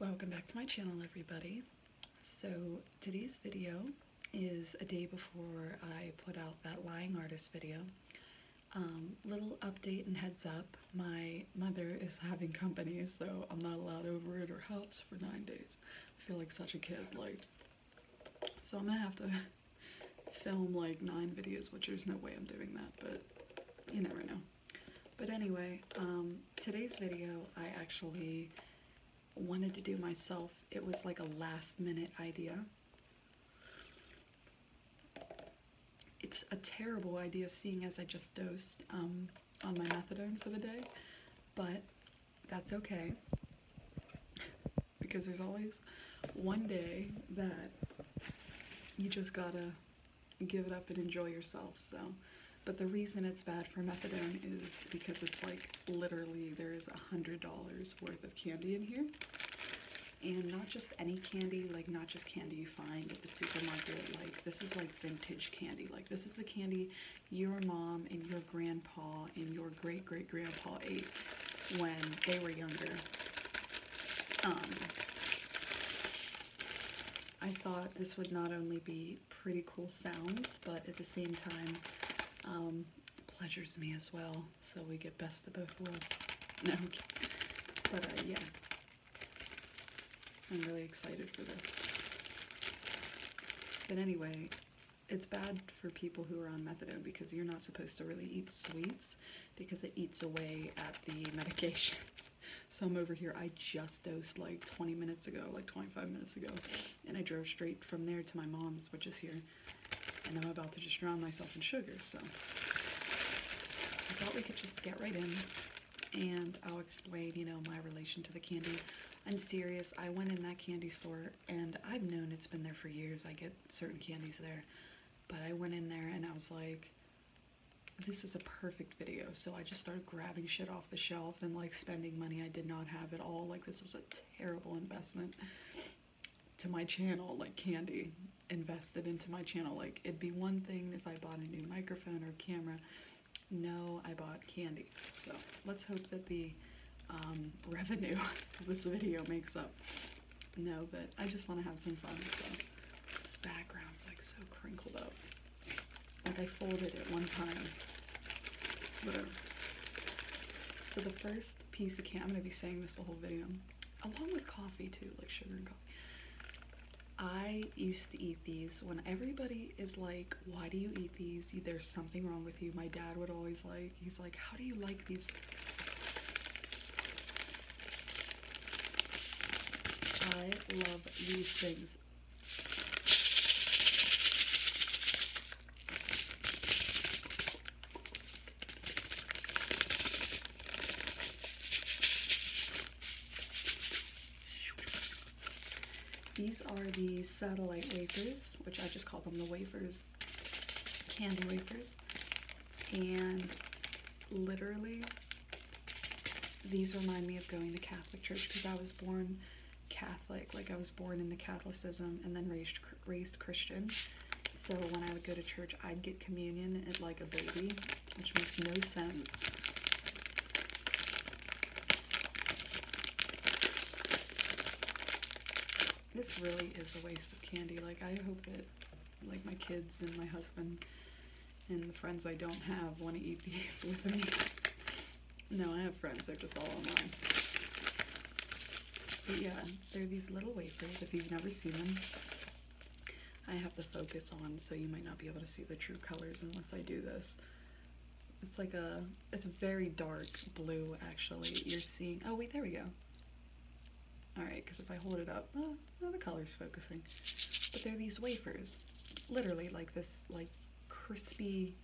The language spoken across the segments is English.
Welcome back to my channel everybody. So today's video is a day before I put out that lying artist video. Um, little update and heads up, my mother is having company so I'm not allowed over at her house for nine days. I feel like such a kid, like, so I'm gonna have to film like nine videos, which there's no way I'm doing that, but you never know. But anyway, um, today's video I actually wanted to do myself. It was like a last minute idea. It's a terrible idea seeing as I just dosed um, on my methadone for the day, but that's okay because there's always one day that you just gotta give it up and enjoy yourself so but the reason it's bad for methadone is because it's like literally there's a hundred dollars worth of candy in here and not just any candy like not just candy you find at the supermarket like this is like vintage candy like this is the candy your mom and your grandpa and your or great great grandpa ate when they were younger. Um, I thought this would not only be pretty cool sounds, but at the same time, um, pleasures me as well, so we get best of both worlds. No, but uh, yeah, I'm really excited for this. But anyway, it's bad for people who are on methadone because you're not supposed to really eat sweets because it eats away at the medication. So I'm over here. I just dosed like 20 minutes ago, like 25 minutes ago, and I drove straight from there to my mom's, which is here. And I'm about to just drown myself in sugar. So I thought we could just get right in and I'll explain, you know, my relation to the candy. I'm serious. I went in that candy store and I've known it's been there for years. I get certain candies there. But I went in there and I was like, this is a perfect video. So I just started grabbing shit off the shelf and like spending money I did not have at all. Like this was a terrible investment to my channel, like candy invested into my channel. Like it'd be one thing if I bought a new microphone or camera. No, I bought candy. So let's hope that the um, revenue this video makes up no, but I just want to have some fun. So this background's like so crinkled up. Like I folded it one time. Whatever. So the first piece of candy, I'm going to be saying this the whole video, along with coffee too, like sugar and coffee. I used to eat these when everybody is like, why do you eat these? There's something wrong with you. My dad would always like. He's like, How do you like these? I love these things. These are the satellite wafers, which I just call them the wafers candy wafers, and literally these remind me of going to Catholic church because I was born Catholic, like I was born into Catholicism and then raised raised Christian. So when I would go to church, I'd get communion at like a baby, which makes no sense this really is a waste of candy. Like, I hope that, like, my kids and my husband and the friends I don't have want to eat these with me. no, I have friends. They're just all online. But yeah, they're these little wafers if you've never seen them. I have the focus on, so you might not be able to see the true colors unless I do this. It's like a, it's a very dark blue, actually. You're seeing, oh wait, there we go. Alright, because if I hold it up, oh, the color's focusing. But they're these wafers. Literally, like this, like, crispy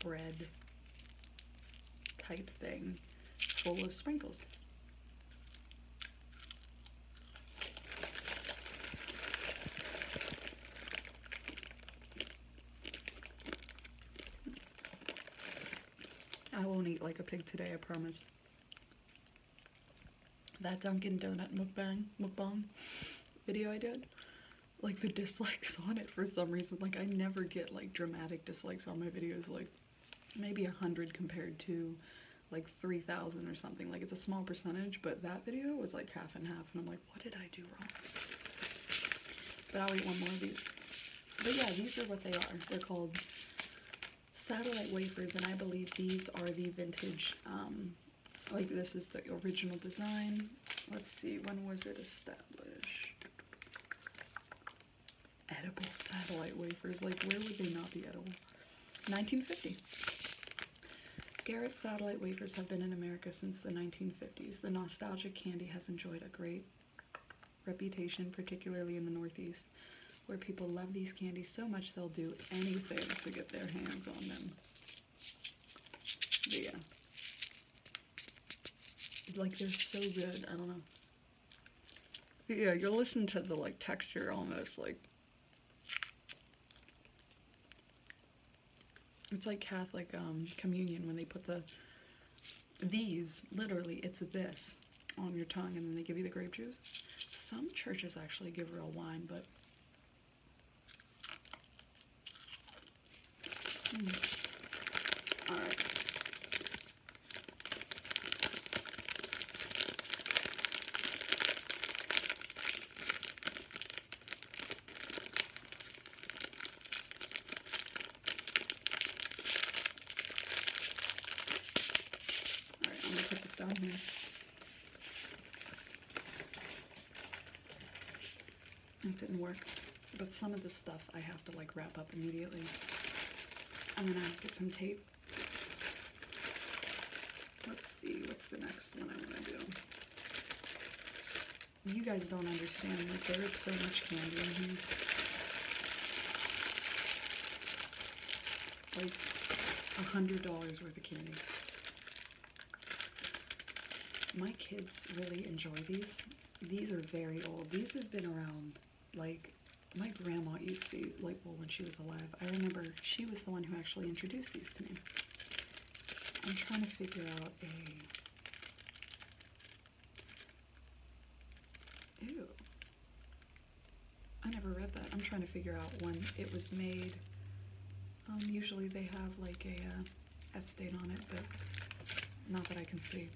bread type thing full of sprinkles. I won't eat like a pig today, I promise. That Dunkin' Donut mukbang, mukbang video I did, like the dislikes on it for some reason, like I never get like dramatic dislikes on my videos, like maybe a hundred compared to like 3,000 or something. Like it's a small percentage, but that video was like half and half and I'm like, what did I do wrong? But I'll eat one more of these. But yeah, these are what they are. They're called satellite wafers, and I believe these are the vintage, um, like this is the original design. Let's see, when was it established? Edible satellite wafers, like where would they not be edible? 1950. Garrett satellite wafers have been in America since the 1950s. The nostalgic candy has enjoyed a great reputation, particularly in the Northeast, where people love these candies so much they'll do anything to get their hands on them. yeah. Like, they're so good. I don't know. yeah, you'll listen to the, like, texture almost, like... It's like Catholic um, communion when they put the these, literally, it's this on your tongue, and then they give you the grape juice. Some churches actually give real wine, but hmm. all right. All right, put this down here. It didn't work, but some of this stuff I have to like wrap up immediately. I'm gonna get some tape. Let's see, what's the next one I'm gonna do? You guys don't understand, that there is so much candy in here like a hundred dollars worth of candy. My kids really enjoy these. These are very old. These have been around like my grandma eats these like when she was alive. I remember she was the one who actually introduced these to me. I'm trying to figure out a Ew. I never read that. I'm trying to figure out when it was made. Um, usually they have like a uh, on it, but not that I can see.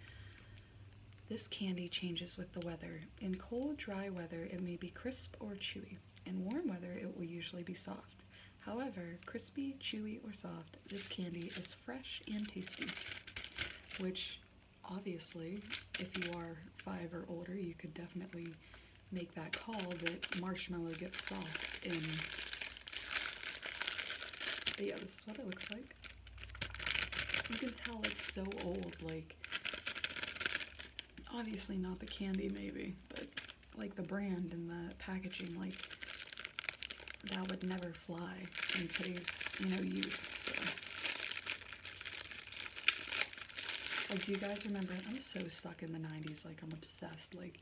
This candy changes with the weather. In cold, dry weather, it may be crisp or chewy. In warm weather, it will usually be soft. However, crispy, chewy, or soft, this candy is fresh and tasty, which obviously, if you are five or older, you could definitely make that call that marshmallow gets soft in. yeah, this is what it looks like. You can tell it's so old, like, obviously not the candy maybe, but like the brand and the packaging, like, that would never fly than produce, you know, youth. Like, do you guys remember? I'm so stuck in the 90s. Like, I'm obsessed. Like,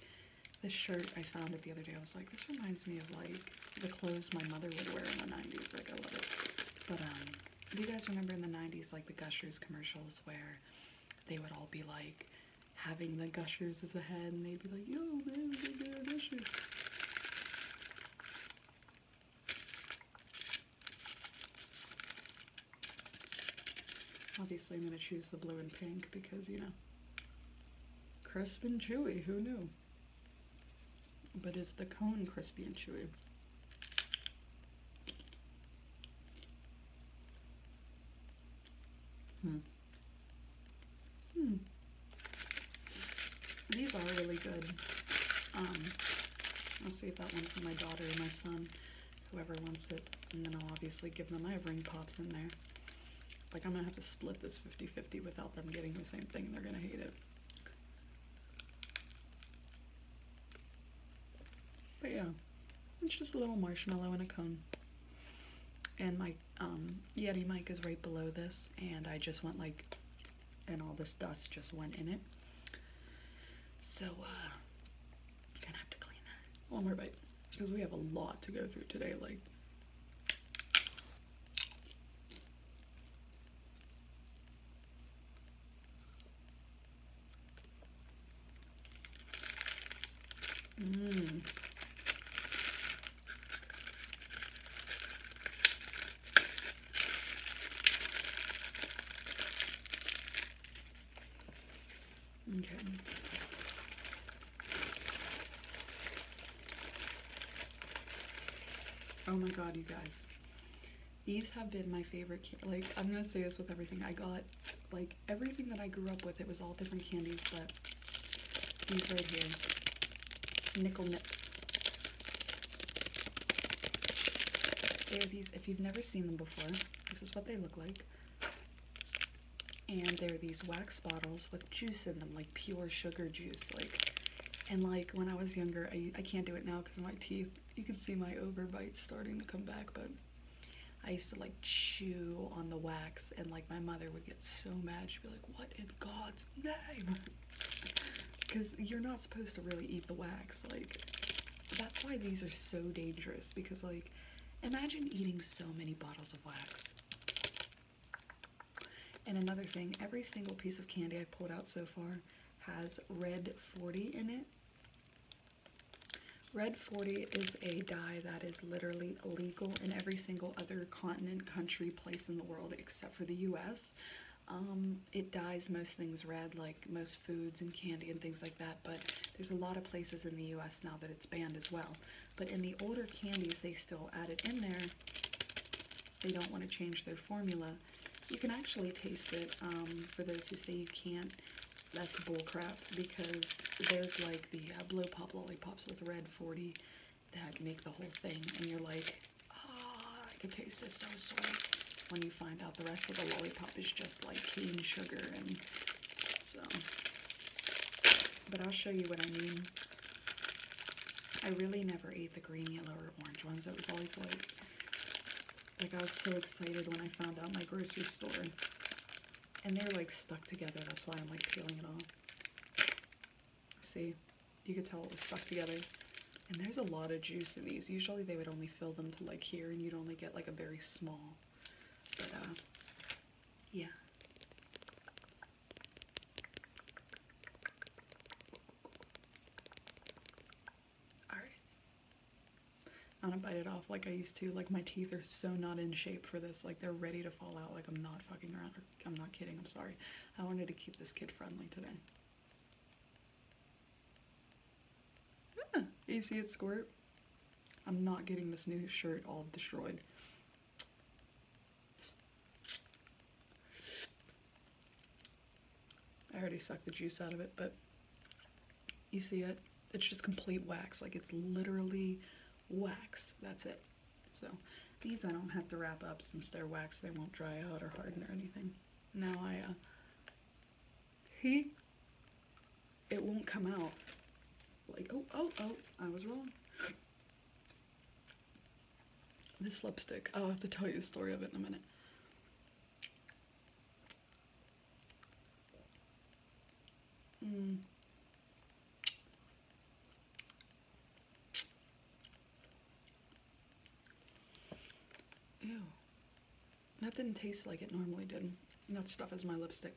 this shirt, I found it the other day. I was like, this reminds me of, like, the clothes my mother would wear in the 90s. Like, I love it. But, um, do you guys remember in the 90s, like, the Gushers commercials where they would all be, like, having the Gushers as a head, and they'd be like, yo, man, we got Gushers. Obviously I'm going to choose the blue and pink because, you know, crisp and chewy, who knew? But is the cone crispy and chewy? Hmm. Hmm. These are really good. Um, I'll save that one for my daughter or my son, whoever wants it, and then I'll obviously give them. I have ring pops in there. Like, I'm gonna have to split this 50-50 without them getting the same thing. They're gonna hate it. But yeah, it's just a little marshmallow in a cone. And my um, Yeti mic is right below this, and I just went like and all this dust just went in it. So, uh, gonna have to clean that. One more bite, because we have a lot to go through today, like. Mmm. Oh my god, you guys. These have been my favorite, like, I'm gonna say this with everything. I got, like, everything that I grew up with, it was all different candies, but these right here, Nickel Nips. They are these, if you've never seen them before, this is what they look like. And they're these wax bottles with juice in them, like pure sugar juice. Like, and like when I was younger, I, I can't do it now because my teeth, you can see my overbite starting to come back, but I used to like chew on the wax and like my mother would get so mad. She'd be like, what in God's name. Because you're not supposed to really eat the wax. Like, that's why these are so dangerous. Because, like, imagine eating so many bottles of wax. And another thing, every single piece of candy I've pulled out so far has red 40 in it. Red 40 is a dye that is literally illegal in every single other continent, country, place in the world except for the US. Um, it dyes most things red, like most foods and candy and things like that, but there's a lot of places in the U.S. now that it's banned as well. But in the older candies, they still add it in there. They don't want to change their formula. You can actually taste it, um, for those who say you can't, that's bullcrap, because there's like the uh, Blow Pop lollipops with red 40 that make the whole thing and you're like, ah, I can taste it so sweet. When you find out the rest of the lollipop is just like cane sugar and so. But I'll show you what I mean. I really never ate the green, yellow, or orange ones. It was always like, like I was so excited when I found out my grocery store. And they're like stuck together. That's why I'm like peeling it off. See, you could tell it was stuck together. And there's a lot of juice in these. Usually they would only fill them to like here and you'd only get like a very small. But uh, yeah. All right. I don't bite it off like I used to. Like my teeth are so not in shape for this. Like they're ready to fall out. Like I'm not fucking around. I'm not kidding. I'm sorry. I wanted to keep this kid friendly today. Yeah, you see it squirt? I'm not getting this new shirt all destroyed. I already sucked the juice out of it, but you see it? It's just complete wax. Like it's literally wax. That's it. So these I don't have to wrap up since they're wax. They won't dry out or harden or anything. Now I, uh, he, it won't come out. Like, oh, oh, oh, I was wrong. This lipstick, I'll have to tell you the story of it in a minute. Mm. Ew. That didn't taste like it normally did. And that stuff is my lipstick.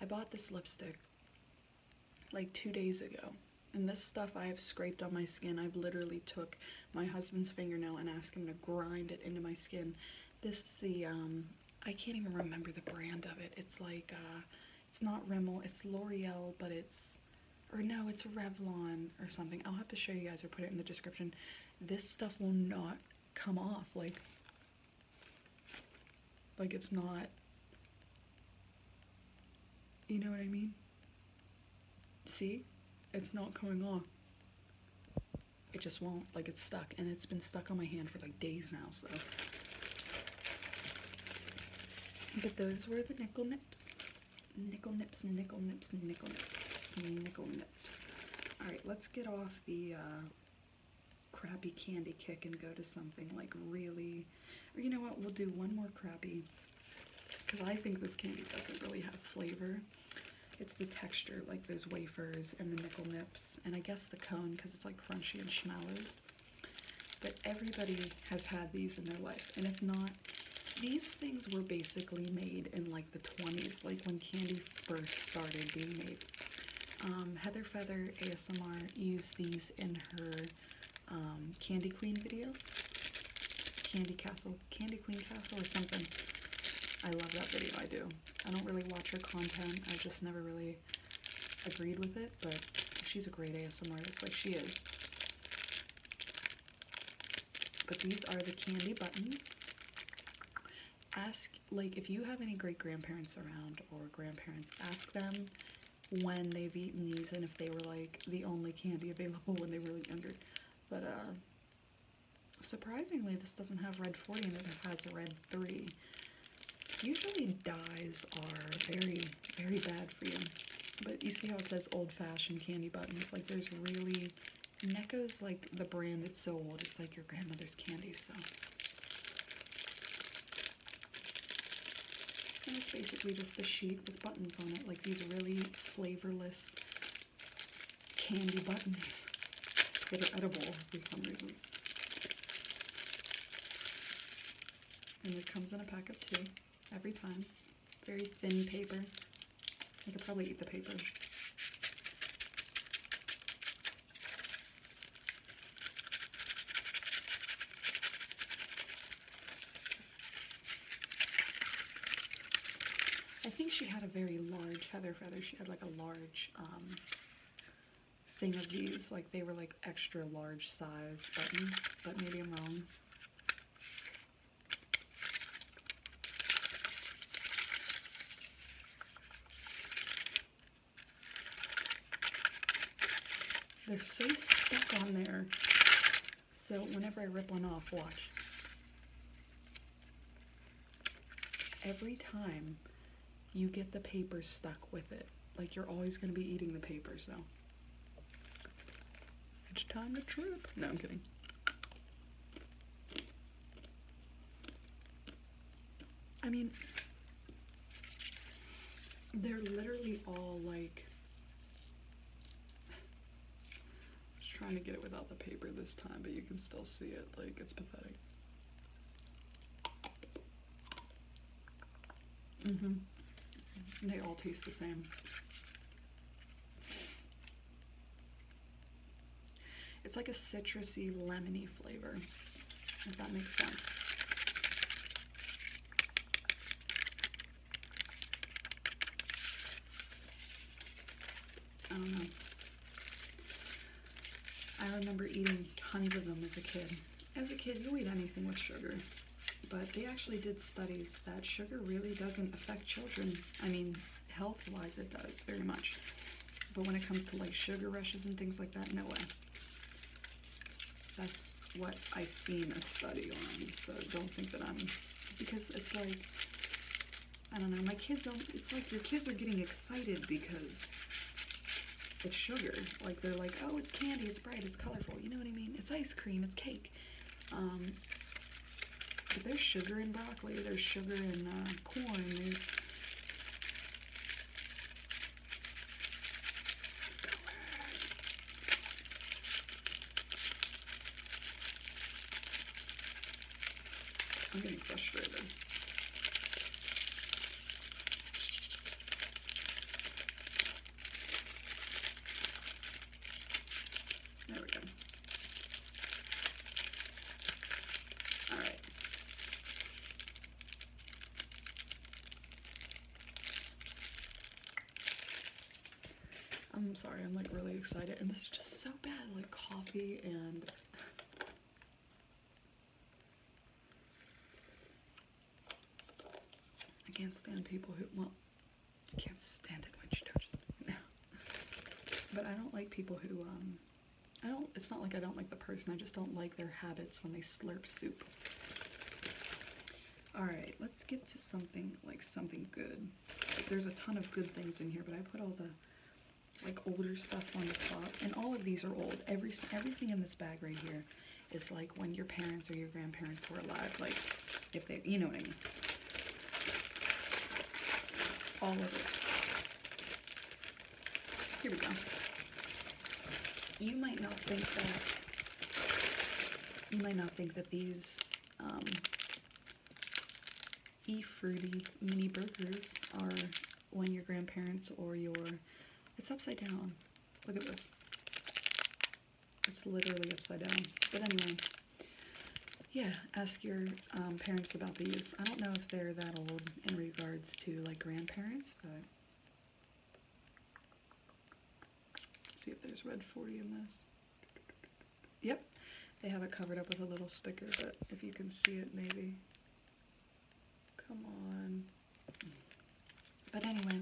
I bought this lipstick like two days ago. And this stuff I have scraped on my skin. I've literally took my husband's fingernail and asked him to grind it into my skin. This is the, um, I can't even remember the brand of it. It's like, uh, it's not Rimmel, it's L'Oreal, but it's or no, it's Revlon or something. I'll have to show you guys or put it in the description. This stuff will not come off. Like, like it's not, you know what I mean? See? It's not coming off. It just won't. Like, it's stuck. And it's been stuck on my hand for, like, days now, so. But those were the nickel nips. Nickel nips, nickel nips, nickel nips, nickel nips. Alright, let's get off the uh, crappy candy kick and go to something like really, or you know what, we'll do one more crappy, because I think this candy doesn't really have flavor. It's the texture, like those wafers and the nickel nips, and I guess the cone, because it's like crunchy and schmallows. But everybody has had these in their life, and if not, these things were basically made in like the 20s like when candy first started being made um, heather feather asmr used these in her um, candy queen video candy castle candy queen castle or something i love that video i do i don't really watch her content i just never really agreed with it but she's a great asmr it's like she is but these are the candy buttons. Ask, like, if you have any great grandparents around or grandparents, ask them when they've eaten these and if they were like the only candy available when they were younger. But uh, surprisingly, this doesn't have red 40 and it has red 3. Usually dyes are very, very bad but you see how it says old-fashioned candy buttons? Like there's really, Necco's like the brand that's so old, it's like your grandmother's candy, so. it's basically just a sheet with buttons on it, like these really flavorless candy buttons that are edible for some reason. And it comes in a pack of two every time very thin paper. I could probably eat the paper. I think she had a very large feather. feather. She had like a large um, thing of these. Like they were like extra large size buttons, but maybe I'm wrong. They're so stuck on there. So whenever I rip one off, watch. Every time you get the paper stuck with it, like you're always going to be eating the papers now. It's time to trip. No, I'm kidding. I mean, they're literally all like, just trying to get it without the paper this time, but you can still see it, like it's pathetic. hmm They all taste the same. It's like a citrusy, lemony flavor, if that makes sense. I remember eating tons of them as a kid. As a kid, you eat anything with sugar but they actually did studies that sugar really doesn't affect children. I mean, health wise, it does very much. But when it comes to like sugar rushes and things like that, no way. That's what I seen a study on, so don't think that I'm. Because it's like, I don't know, my kids It's like your kids are getting excited because it's sugar. Like they're like, oh, it's candy, it's bright, it's colorful. You know what I mean? It's ice cream, it's cake. Um, but there's sugar in broccoli, there's sugar in uh, corn, I'm getting frustrated. There we go. All right. I'm sorry, I'm like really excited and this is just so bad, like coffee and I can't stand people who, well, I can't stand it when she touches me. No. But I don't like people who, um, I don't, it's not like I don't like the person, I just don't like their habits when they slurp soup. Alright, let's get to something, like something good. There's a ton of good things in here, but I put all the, like, older stuff on the top. And all of these are old. Every Everything in this bag right here is, like, when your parents or your grandparents were alive. Like, if they, you know what I mean. All of it. Here we go. You might not think that, you might not think that these um, e-fruity mini burgers are when your grandparents or your, it's upside down. Look at this. It's literally upside down. But anyway, yeah, ask your um, parents about these. I don't know if they're that old in regards to like grandparents, but see if there's red 40 in this. Yep, they have it covered up with a little sticker, but if you can see it, maybe. Come on. But anyway,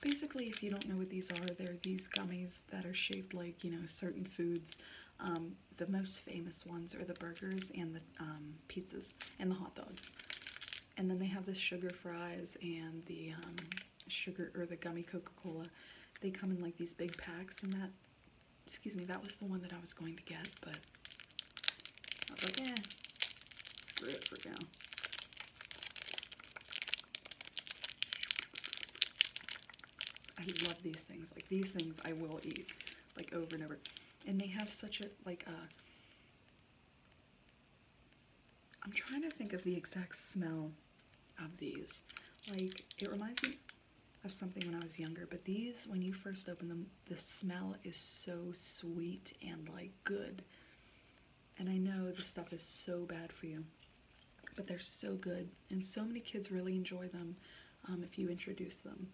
basically if you don't know what these are, they're these gummies that are shaped like, you know, certain foods. Um, the most famous ones are the burgers and the um, pizzas and the hot dogs. And then they have the sugar fries and the um, sugar or the gummy Coca-Cola. They come in like these big packs and that, excuse me, that was the one that I was going to get, but I was like, eh, screw it for now. I love these things. Like these things I will eat like over and over. And they have such a like a uh, I'm trying to think of the exact smell of these. Like it reminds me of something when I was younger, but these when you first open them, the smell is so sweet and like good. And I know this stuff is so bad for you but they're so good and so many kids really enjoy them um, if you introduce them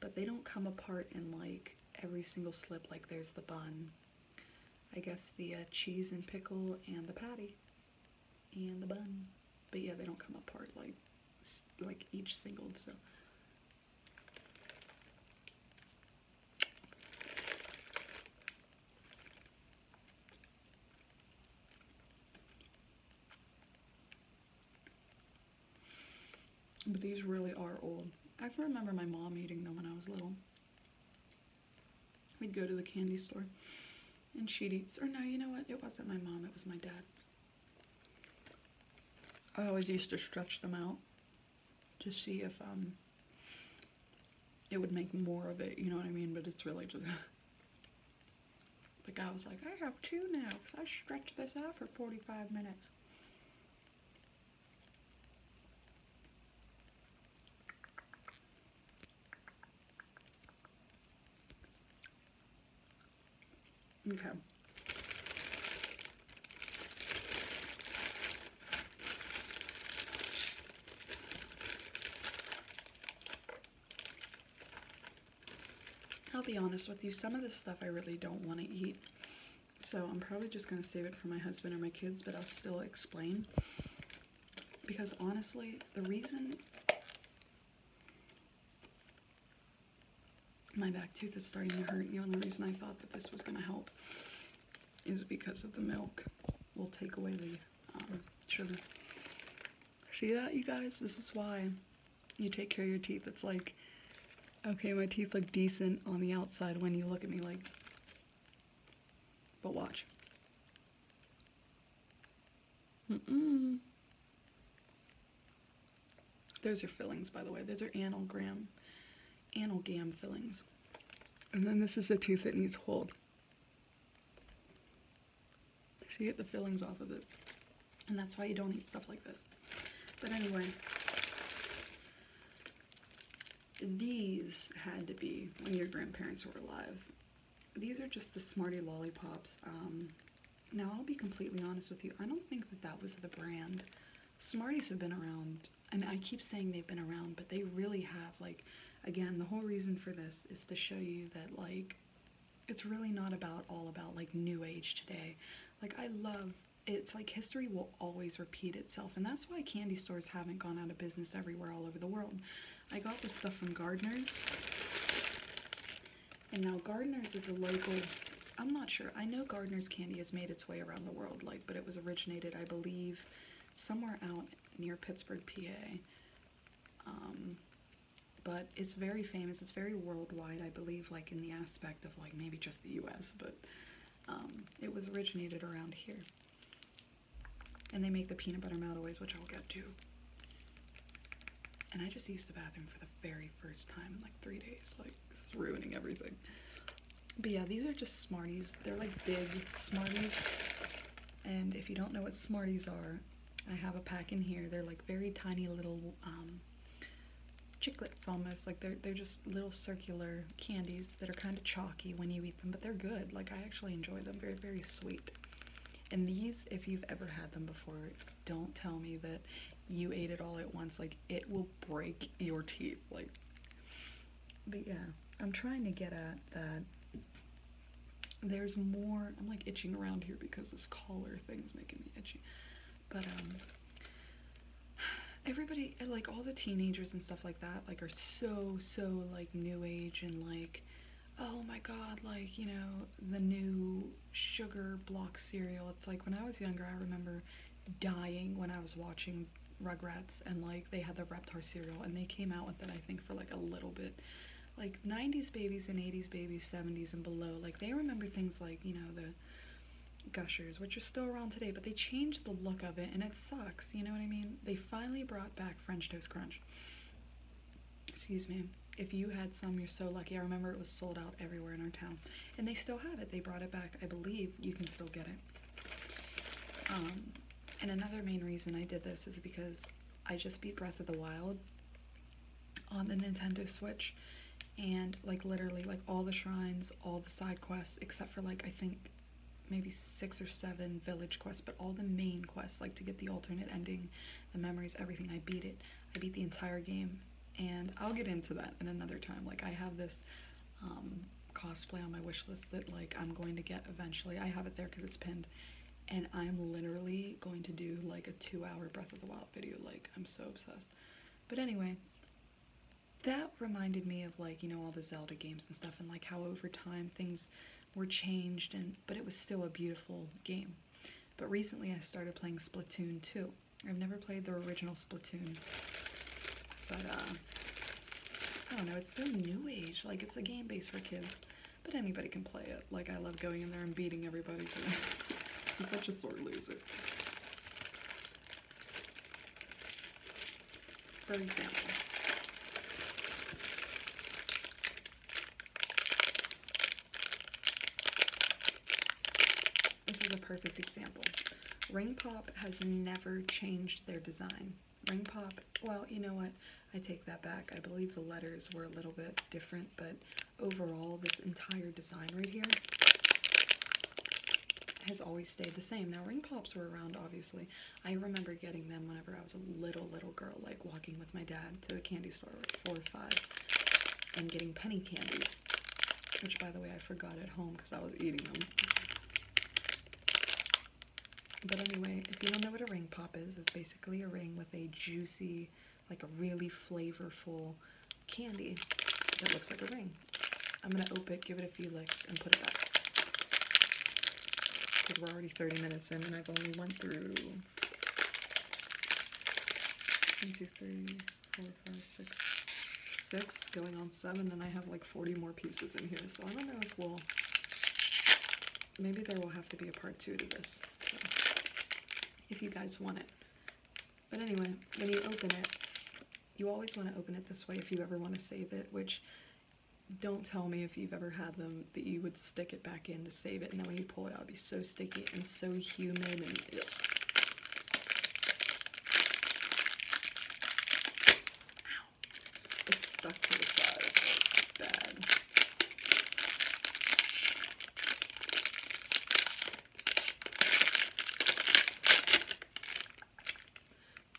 but they don't come apart in like every single slip like there's the bun I guess the uh, cheese and pickle and the patty and the bun but yeah they don't come apart like like each single so but these really are old. I can remember my mom eating them when I was little. We'd go to the candy store and she'd eat, or no, you know what? It wasn't my mom, it was my dad. I always used to stretch them out to see if um, it would make more of it, you know what I mean? But it's really just... the guy was like, I have two now because I stretched this out for 45 minutes. Okay. I'll be honest with you, some of this stuff I really don't want to eat. So I'm probably just going to save it for my husband or my kids, but I'll still explain. Because honestly, the reason my back tooth is starting to hurt, the only reason I thought that this was going to help is because of the milk will take away the um, sugar. See that, you guys? This is why you take care of your teeth. It's like, okay, my teeth look decent on the outside when you look at me like, but watch. Mm-mm. Those are fillings, by the way. Those are analgram, analgam fillings. And then this is the tooth that needs hold. So you get the fillings off of it. And that's why you don't eat stuff like this. But anyway, these had to be when your grandparents were alive. These are just the Smarty lollipops. Um, now I'll be completely honest with you, I don't think that that was the brand. Smarties have been around, and I keep saying they've been around, but they really have. Like Again, the whole reason for this is to show you that like it's really not about all about like new age today. Like I love it's like history will always repeat itself and that's why candy stores haven't gone out of business everywhere all over the world. I got this stuff from Gardeners. And now Gardeners is a local I'm not sure. I know Gardener's candy has made its way around the world, like, but it was originated, I believe, somewhere out near Pittsburgh, PA. Um, but it's very famous. It's very worldwide, I believe, like in the aspect of like maybe just the U.S., but um, it was originated around here. And they make the peanut butter meltaways, which I'll get to. And I just used the bathroom for the very first time in like three days. Like, this is ruining everything. But yeah, these are just Smarties. They're like big Smarties. And if you don't know what Smarties are, I have a pack in here. They're like very tiny little um, almost. Like they're, they're just little circular candies that are kind of chalky when you eat them, but they're good. Like I actually enjoy them. Very, very sweet. And these, if you've ever had them before, don't tell me that you ate it all at once. Like it will break your teeth. Like, but yeah, I'm trying to get at that there's more. I'm like itching around here because this collar thing is making me itchy. But um everybody like all the teenagers and stuff like that like are so so like new age and like oh my god like you know the new sugar block cereal it's like when i was younger i remember dying when i was watching rugrats and like they had the reptar cereal and they came out with it i think for like a little bit like 90s babies and 80s babies, 70s and below, like they remember things like, you know, the gushers, which are still around today, but they changed the look of it and it sucks, you know what I mean? They finally brought back French Toast Crunch. Excuse me. If you had some, you're so lucky. I remember it was sold out everywhere in our town. And they still have it. They brought it back. I believe you can still get it. Um, and another main reason I did this is because I just beat Breath of the Wild on the Nintendo Switch and like literally like all the shrines, all the side quests except for like I think maybe six or seven village quests, but all the main quests like to get the alternate ending, the memories, everything. I beat it. I beat the entire game and I'll get into that in another time. Like I have this um, cosplay on my wish list that like I'm going to get eventually. I have it there because it's pinned and I'm literally going to do like a two hour Breath of the Wild video. Like, I'm so obsessed. But anyway, that reminded me of like, you know, all the Zelda games and stuff and like how over time things were changed and, but it was still a beautiful game. But recently I started playing Splatoon 2. I've never played the original Splatoon, but uh, I don't know, it's so new age. Like it's a game base for kids. But anybody can play it. Like, I love going in there and beating everybody today. I'm such a sore loser. For example. This is a perfect example. Ring Pop has never changed their design ring pop. Well, you know what? I take that back. I believe the letters were a little bit different, but overall, this entire design right here has always stayed the same. Now, ring pops were around, obviously. I remember getting them whenever I was a little, little girl, like walking with my dad to the candy store at four or five and getting penny candies, which, by the way, I forgot at home because I was eating them. But anyway, if you don't know what a ring pop is, it's basically a ring with a juicy, like a really flavorful candy that looks like a ring. I'm gonna open it, give it a few licks, and put it back. Because we're already 30 minutes in and I've only went through one, two, three, four, five, six, six, going on seven, and I have like 40 more pieces in here, so I don't know if we'll maybe there will have to be a part two to this, if you guys want it. But anyway, when you open it, you always want to open it this way if you ever want to save it, which don't tell me if you've ever had them that you would stick it back in to save it, and then when you pull it out, it'd be so sticky and so humid and it's stuck to the side. It's like bad.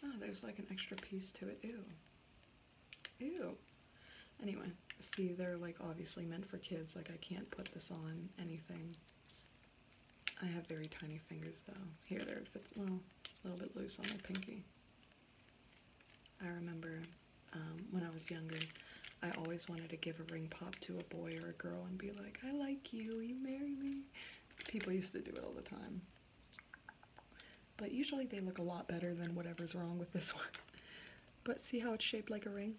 Oh, there's like an extra piece to it. Ew. Ew. Anyway, see, they're like obviously meant for kids. Like, I can't put this on anything. I have very tiny fingers though. Here, they're, well, a little bit loose on my pinky. I remember um, when I was younger, I always wanted to give a ring pop to a boy or a girl and be like, I like you, you marry me? People used to do it all the time. But usually they look a lot better than whatever's wrong with this one. But see how it's shaped like a ring?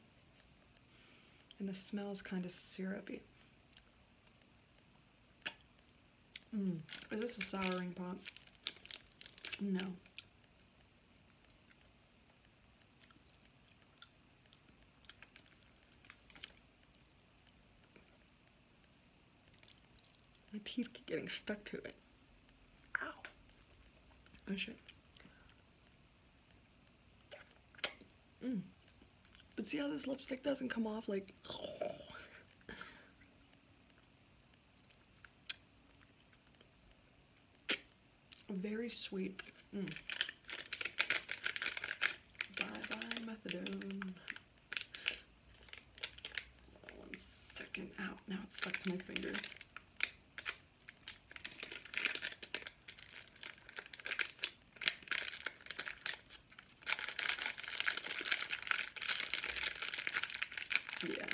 And the smell's kind of syrupy. Mm. Is this a sour ring pop? No. My teeth keep getting stuck to it. Ow. Oh shit. Mm. But see how this lipstick doesn't come off like. Very sweet. Mm. Bye bye methadone. One second out. Now it's stuck to my finger. Yeah,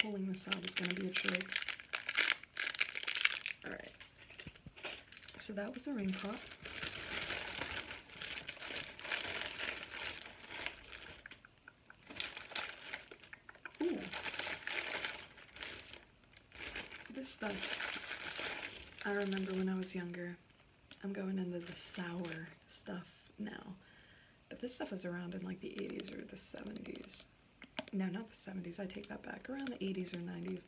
pulling this out is going to be a trick. Alright, so that was the ring pop. Ooh. This stuff, I remember when I was younger. I'm going into the sour stuff now. But this stuff was around in like the 80s or the 70s. No, not the 70s. I take that back. Around the 80s or 90s.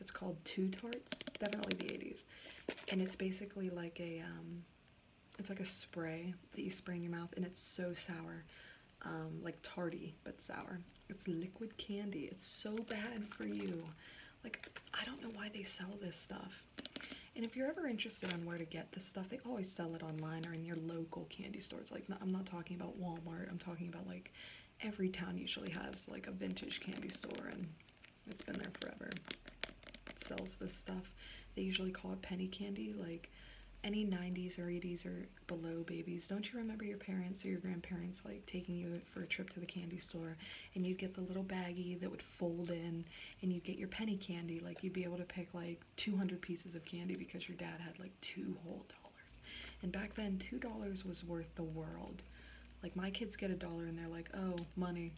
It's called Two Tarts. Definitely the 80s. And it's basically like a, um, it's like a spray that you spray in your mouth and it's so sour. Um, like tarty, but sour. It's liquid candy. It's so bad for you. Like, I don't know why they sell this stuff. And if you're ever interested on where to get this stuff, they always sell it online or in your local candy stores. Like, I'm not talking about Walmart. I'm talking about, like, every town usually has, like, a vintage candy store, and it's been there forever. It sells this stuff. They usually call it penny candy, like, any 90s or 80s or below babies, don't you remember your parents or your grandparents like taking you for a trip to the candy store and you'd get the little baggie that would fold in and you'd get your penny candy, like you'd be able to pick like 200 pieces of candy because your dad had like two whole dollars. And back then, two dollars was worth the world. Like my kids get a dollar and they're like, oh, money.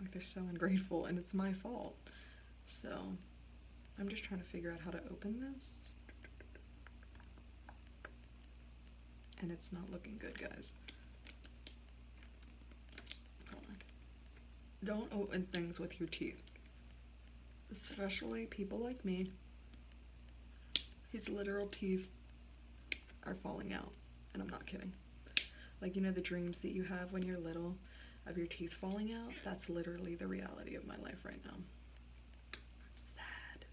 Like they're so ungrateful and it's my fault. So I'm just trying to figure out how to open this. And it's not looking good, guys. Don't open things with your teeth especially people like me, his literal teeth are falling out. And I'm not kidding. Like, you know, the dreams that you have when you're little of your teeth falling out? That's literally the reality of my life right now. Sad.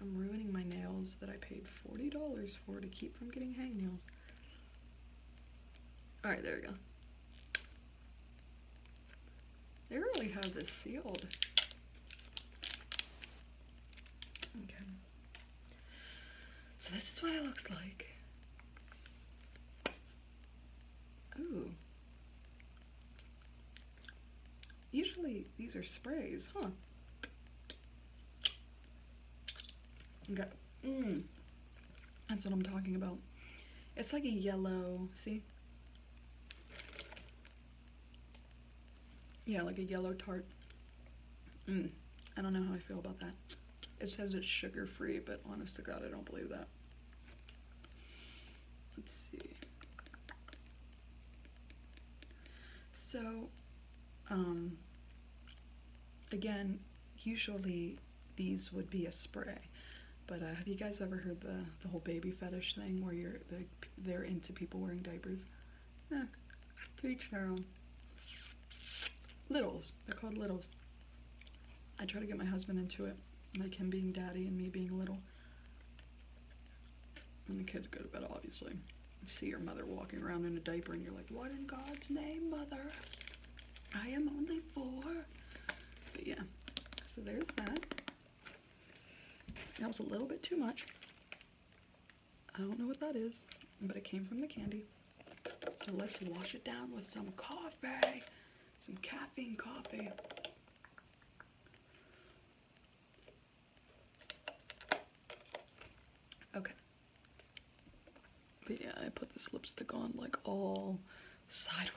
I'm ruining my nails that I paid $40 for to keep from getting hangnails. Alright, there we go. They really have this sealed. Okay. So this is what it looks like. Ooh. Usually these are sprays, huh? Okay. Mmm. That's what I'm talking about. It's like a yellow, see? Yeah, like a yellow tart. Mm, I don't know how I feel about that. It says it's sugar free, but honest to God, I don't believe that. Let's see. So, um, again, usually these would be a spray. But uh, have you guys ever heard the the whole baby fetish thing where you're they're into people wearing diapers? Yeah, to each their Littles, they're called littles. I try to get my husband into it, like him being daddy and me being little. When the kids go to bed, obviously. see your mother walking around in a diaper and you're like, what in God's name, mother? I am only four. But yeah, so there's that. That was a little bit too much. I don't know what that is, but it came from the candy. So let's wash it down with some coffee, some caffeine coffee. Okay, but yeah, I put this lipstick on like all sideways.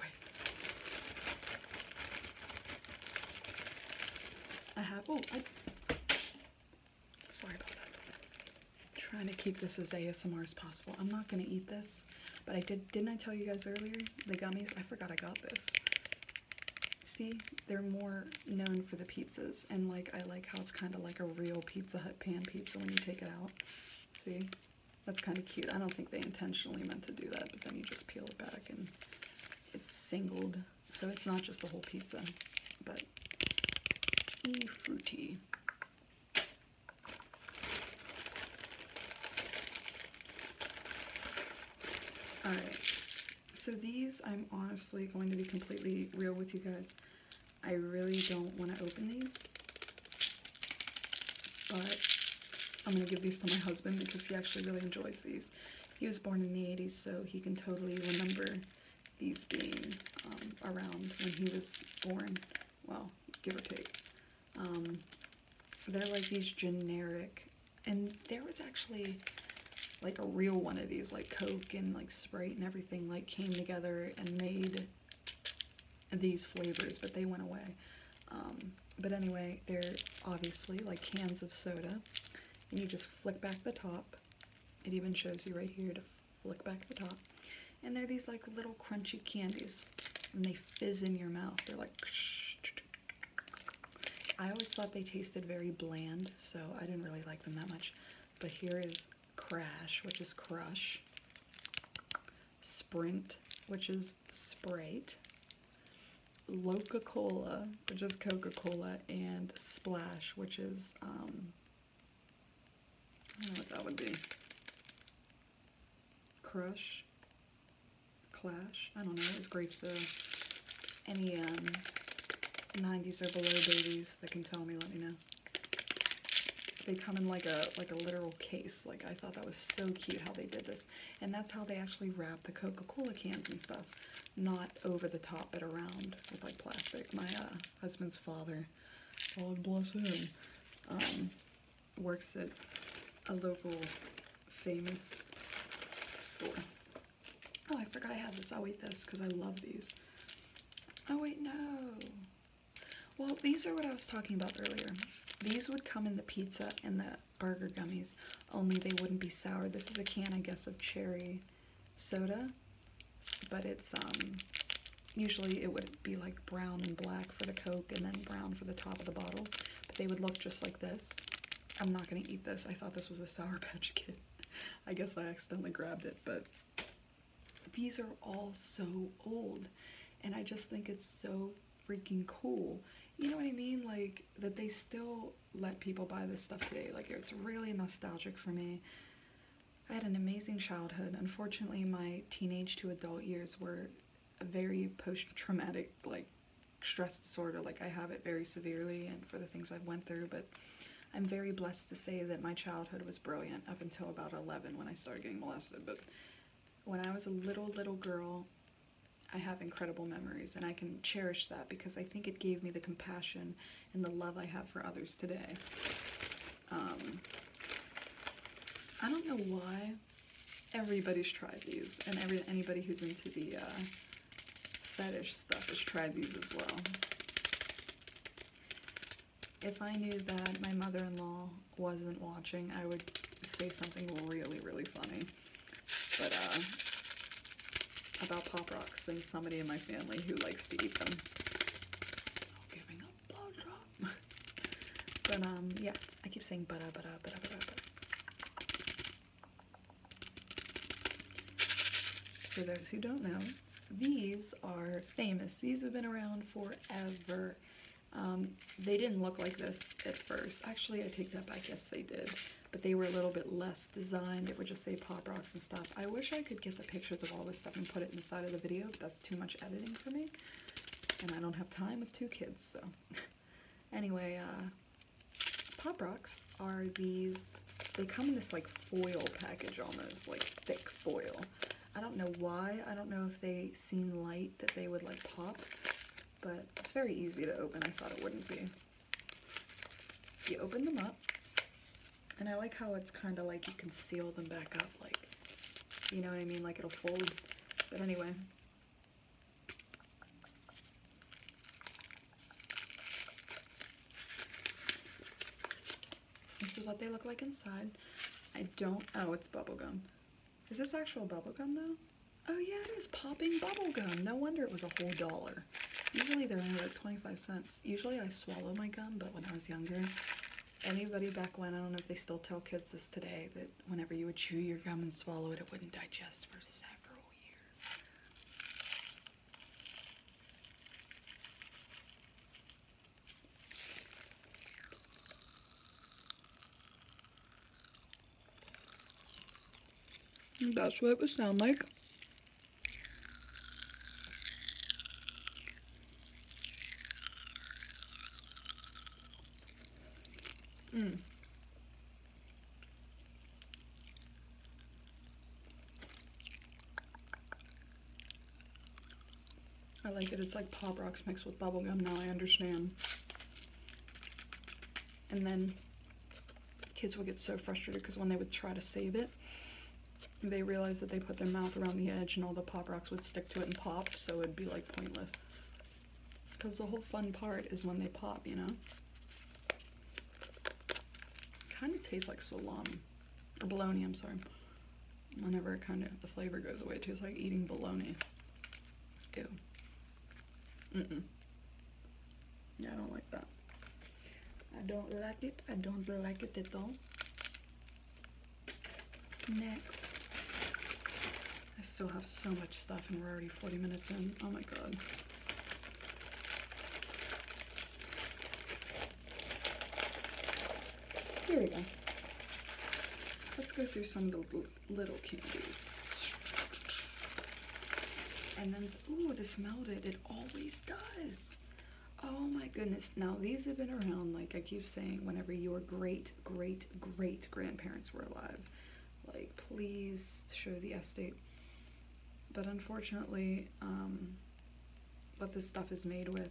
I have, oh, I, sorry about that. trying to keep this as ASMR as possible. I'm not gonna eat this, but I did, didn't I tell you guys earlier? The gummies, I forgot I got this. See, they're more known for the pizzas, and like, I like how it's kind of like a real Pizza Hut pan pizza when you take it out. See? That's kind of cute. I don't think they intentionally meant to do that, but then you just peel it back and it's singled. So it's not just the whole pizza, but e fruity. All right, so these I'm honestly going to be completely real with you guys. I really don't want to open these, but I'm going to give these to my husband because he actually really enjoys these. He was born in the 80s, so he can totally remember these being um, around when he was born. Well, give or take. Um, they're like these generic, and there was actually like a real one of these, like Coke and like Sprite and everything like came together and made these flavors, but they went away. Um, but anyway, they're obviously like cans of soda, and you just flick back the top. It even shows you right here to flick back the top. And they're these like little crunchy candies, and they fizz in your mouth. They're like. I always thought they tasted very bland, so I didn't really like them that much. But here is Crash, which is Crush. Sprint, which is Sprite, Loca Cola, which is Coca Cola, and Splash, which is, um, I don't know what that would be. Crush, Clash, I don't know, Is grapes grape uh, Any um, 90s or below babies that can tell me, let me know they come in like a like a literal case. Like I thought that was so cute how they did this. And that's how they actually wrap the Coca-Cola cans and stuff. Not over the top but around with like plastic. My uh, husband's father, God bless him, um, works at a local famous store. Oh, I forgot I have this. I'll eat this because I love these. Oh wait, no. Well, these are what I was talking about earlier. These would come in the pizza and the burger gummies, only they wouldn't be sour. This is a can, I guess, of cherry soda, but it's, um, usually it would be like brown and black for the Coke and then brown for the top of the bottle, but they would look just like this. I'm not gonna eat this. I thought this was a Sour Patch Kid. I guess I accidentally grabbed it, but these are all so old and I just think it's so freaking cool. You know what I mean? Like that they still let people buy this stuff today. Like it's really nostalgic for me. I had an amazing childhood. Unfortunately, my teenage to adult years were a very post-traumatic like stress disorder. Like I have it very severely and for the things I have went through, but I'm very blessed to say that my childhood was brilliant up until about 11 when I started getting molested, but when I was a little, little girl, I have incredible memories and I can cherish that because I think it gave me the compassion and the love I have for others today. Um, I don't know why everybody's tried these and anybody who's into the uh, fetish stuff has tried these as well if I knew that my mother-in-law wasn't watching, I would say something really, really funny. But, uh, about Pop Rocks and somebody in my family who likes to eat them. but, um, yeah, I keep saying bada bada bada bada bada. For those who don't know, these are famous. These have been around forever. Um, they didn't look like this at first. Actually, I take that back. Yes, they did. But they were a little bit less designed. It would just say Pop Rocks and stuff. I wish I could get the pictures of all this stuff and put it in the side of the video, but that's too much editing for me. And I don't have time with two kids, so. anyway, uh, Pop Rocks are these, they come in this like foil package almost, like thick foil. I don't know why. I don't know if they seen light that they would like pop, but it's very easy to open. I thought it wouldn't be. You open them up, and I like how it's kind of like you can seal them back up, like, you know what I mean? Like it'll fold. But anyway, this is what they look like inside. I don't, oh, it's bubblegum. Is this actual bubblegum though? Oh yeah, it is popping bubblegum. No wonder it was a whole dollar. Usually they're only like 25 cents. Usually I swallow my gum, but when I was younger, anybody back when, I don't know if they still tell kids this today, that whenever you would chew your gum and swallow it, it wouldn't digest for several years. That's what it would sound like. Mm. I like it. It's like Pop Rocks mixed with bubblegum. Now I understand. And then kids would get so frustrated because when they would try to save it, they realized that they put their mouth around the edge and all the Pop Rocks would stick to it and pop, so it'd be like pointless. Because the whole fun part is when they pop, you know? Kind of tastes like salami. Or bologna, I'm sorry whenever kind of the flavor goes away too. It's like eating bologna. Ew. Mm-mm. Yeah, I don't like that. I don't like it. I don't like it at all. Next. I still have so much stuff and we're already 40 minutes in. Oh my god. Here we go. Let's go through some of the little candies. And then, ooh, this melted. It always does. Oh my goodness. Now, these have been around, like I keep saying, whenever your great, great, great grandparents were alive. Like, please show the estate. But unfortunately, um, what this stuff is made with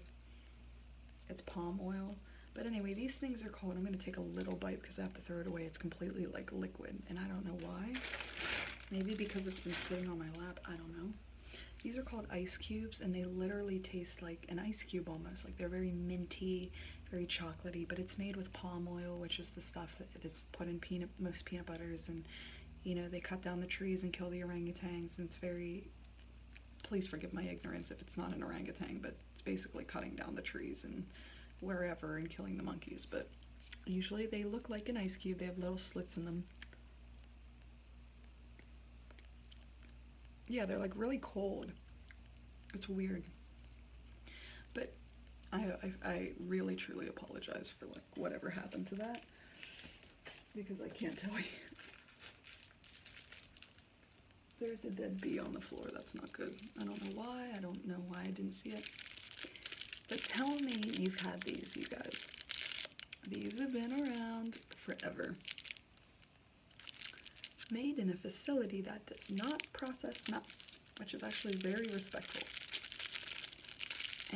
it's palm oil. But anyway, these things are cold. I'm going to take a little bite because I have to throw it away. It's completely like liquid, and I don't know why. Maybe because it's been sitting on my lap. I don't know. These are called ice cubes, and they literally taste like an ice cube almost. Like they're very minty, very chocolatey, but it's made with palm oil, which is the stuff that is put in most peanut butters. And, you know, they cut down the trees and kill the orangutans, and it's very please forgive my ignorance if it's not an orangutan, but it's basically cutting down the trees and wherever and killing the monkeys. But usually they look like an ice cube, they have little slits in them. Yeah, they're like really cold. It's weird. But I, I, really truly apologize for like whatever happened to that because I can't tell you. There's a dead bee on the floor. That's not good. I don't know why. I don't know why I didn't see it. But tell me you've had these, you guys. These have been around forever. Made in a facility that does not process nuts, which is actually very respectful.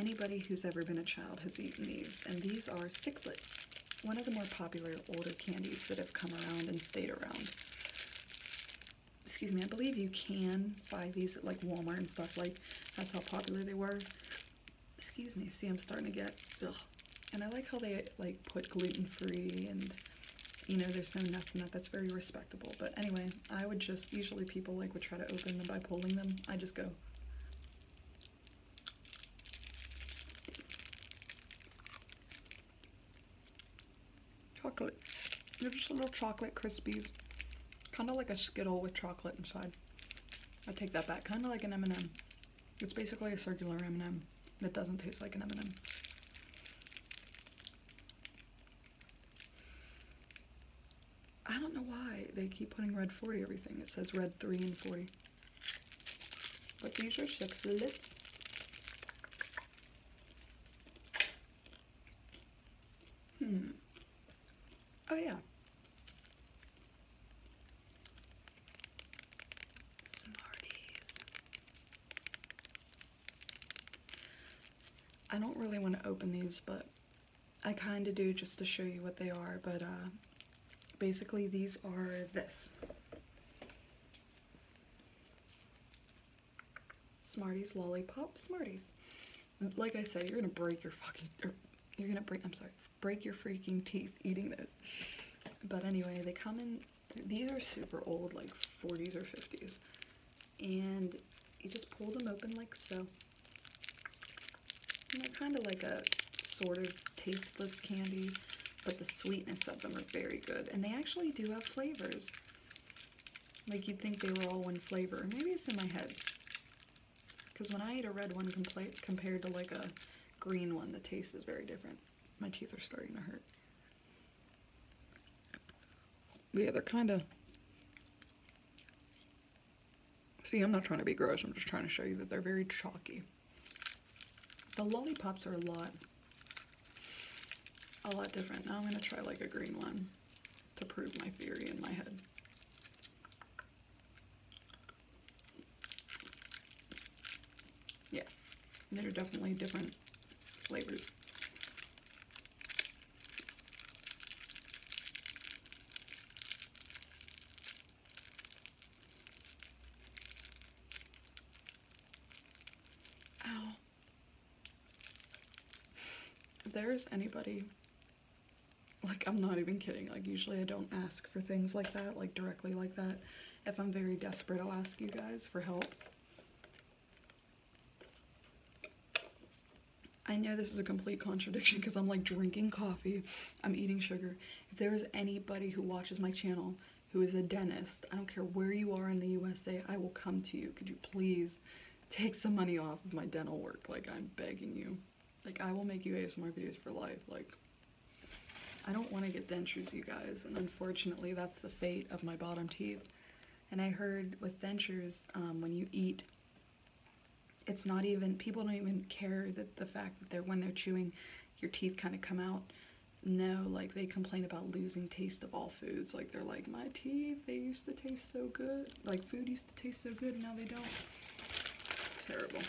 Anybody who's ever been a child has eaten these, and these are sixlets one of the more popular older candies that have come around and stayed around. Excuse me, I believe you can buy these at like Walmart and stuff, like that's how popular they were. Excuse me, see I'm starting to get, ugh. And I like how they like put gluten-free and you know, there's no nuts in that. That's very respectable. But anyway, I would just, usually people like would try to open them by pulling them. I just go Chocolate. They're just little chocolate Krispies, Kind of like a Skittle with chocolate inside. I take that back. Kind of like an M&M. It's basically a circular M&M It doesn't taste like an M&M. I don't know why they keep putting red 40 everything. It says red 3 and 40 but these are six lids. Hmm. Oh yeah. Smarties. I don't really want to open these, but I kind of do just to show you what they are, but uh, basically these are this. Smarties lollipop Smarties. Like I said, you're gonna break your fucking, er, you're gonna break, I'm sorry, break your freaking teeth eating those. But anyway, they come in, these are super old, like 40s or 50s. And you just pull them open like so. they're kind of like a sort of tasteless candy, but the sweetness of them are very good. And they actually do have flavors. Like you'd think they were all one flavor. Maybe it's in my head. Because when I eat a red one compared to like a green one, the taste is very different. My teeth are starting to hurt. Yeah, they're kind of... See, I'm not trying to be gross. I'm just trying to show you that they're very chalky. The lollipops are a lot, a lot different. Now I'm gonna try like a green one to prove my theory in my head. Yeah, they're definitely different flavors. Ow. If there's anybody, like I'm not even kidding, like usually I don't ask for things like that, like directly like that. If I'm very desperate, I'll ask you guys for help. I know this is a complete contradiction because I'm like drinking coffee, I'm eating sugar. If there is anybody who watches my channel who is a dentist. I don't care where you are in the USA, I will come to you. Could you please take some money off of my dental work? Like, I'm begging you. Like, I will make you ASMR videos for life. Like, I don't want to get dentures, you guys, and unfortunately, that's the fate of my bottom teeth. And I heard with dentures, um, when you eat, it's not even, people don't even care that the fact that when they're chewing, your teeth kind of come out no, like they complain about losing taste of all foods. Like they're like, my teeth, they used to taste so good. Like food used to taste so good, now they don't. Terrible.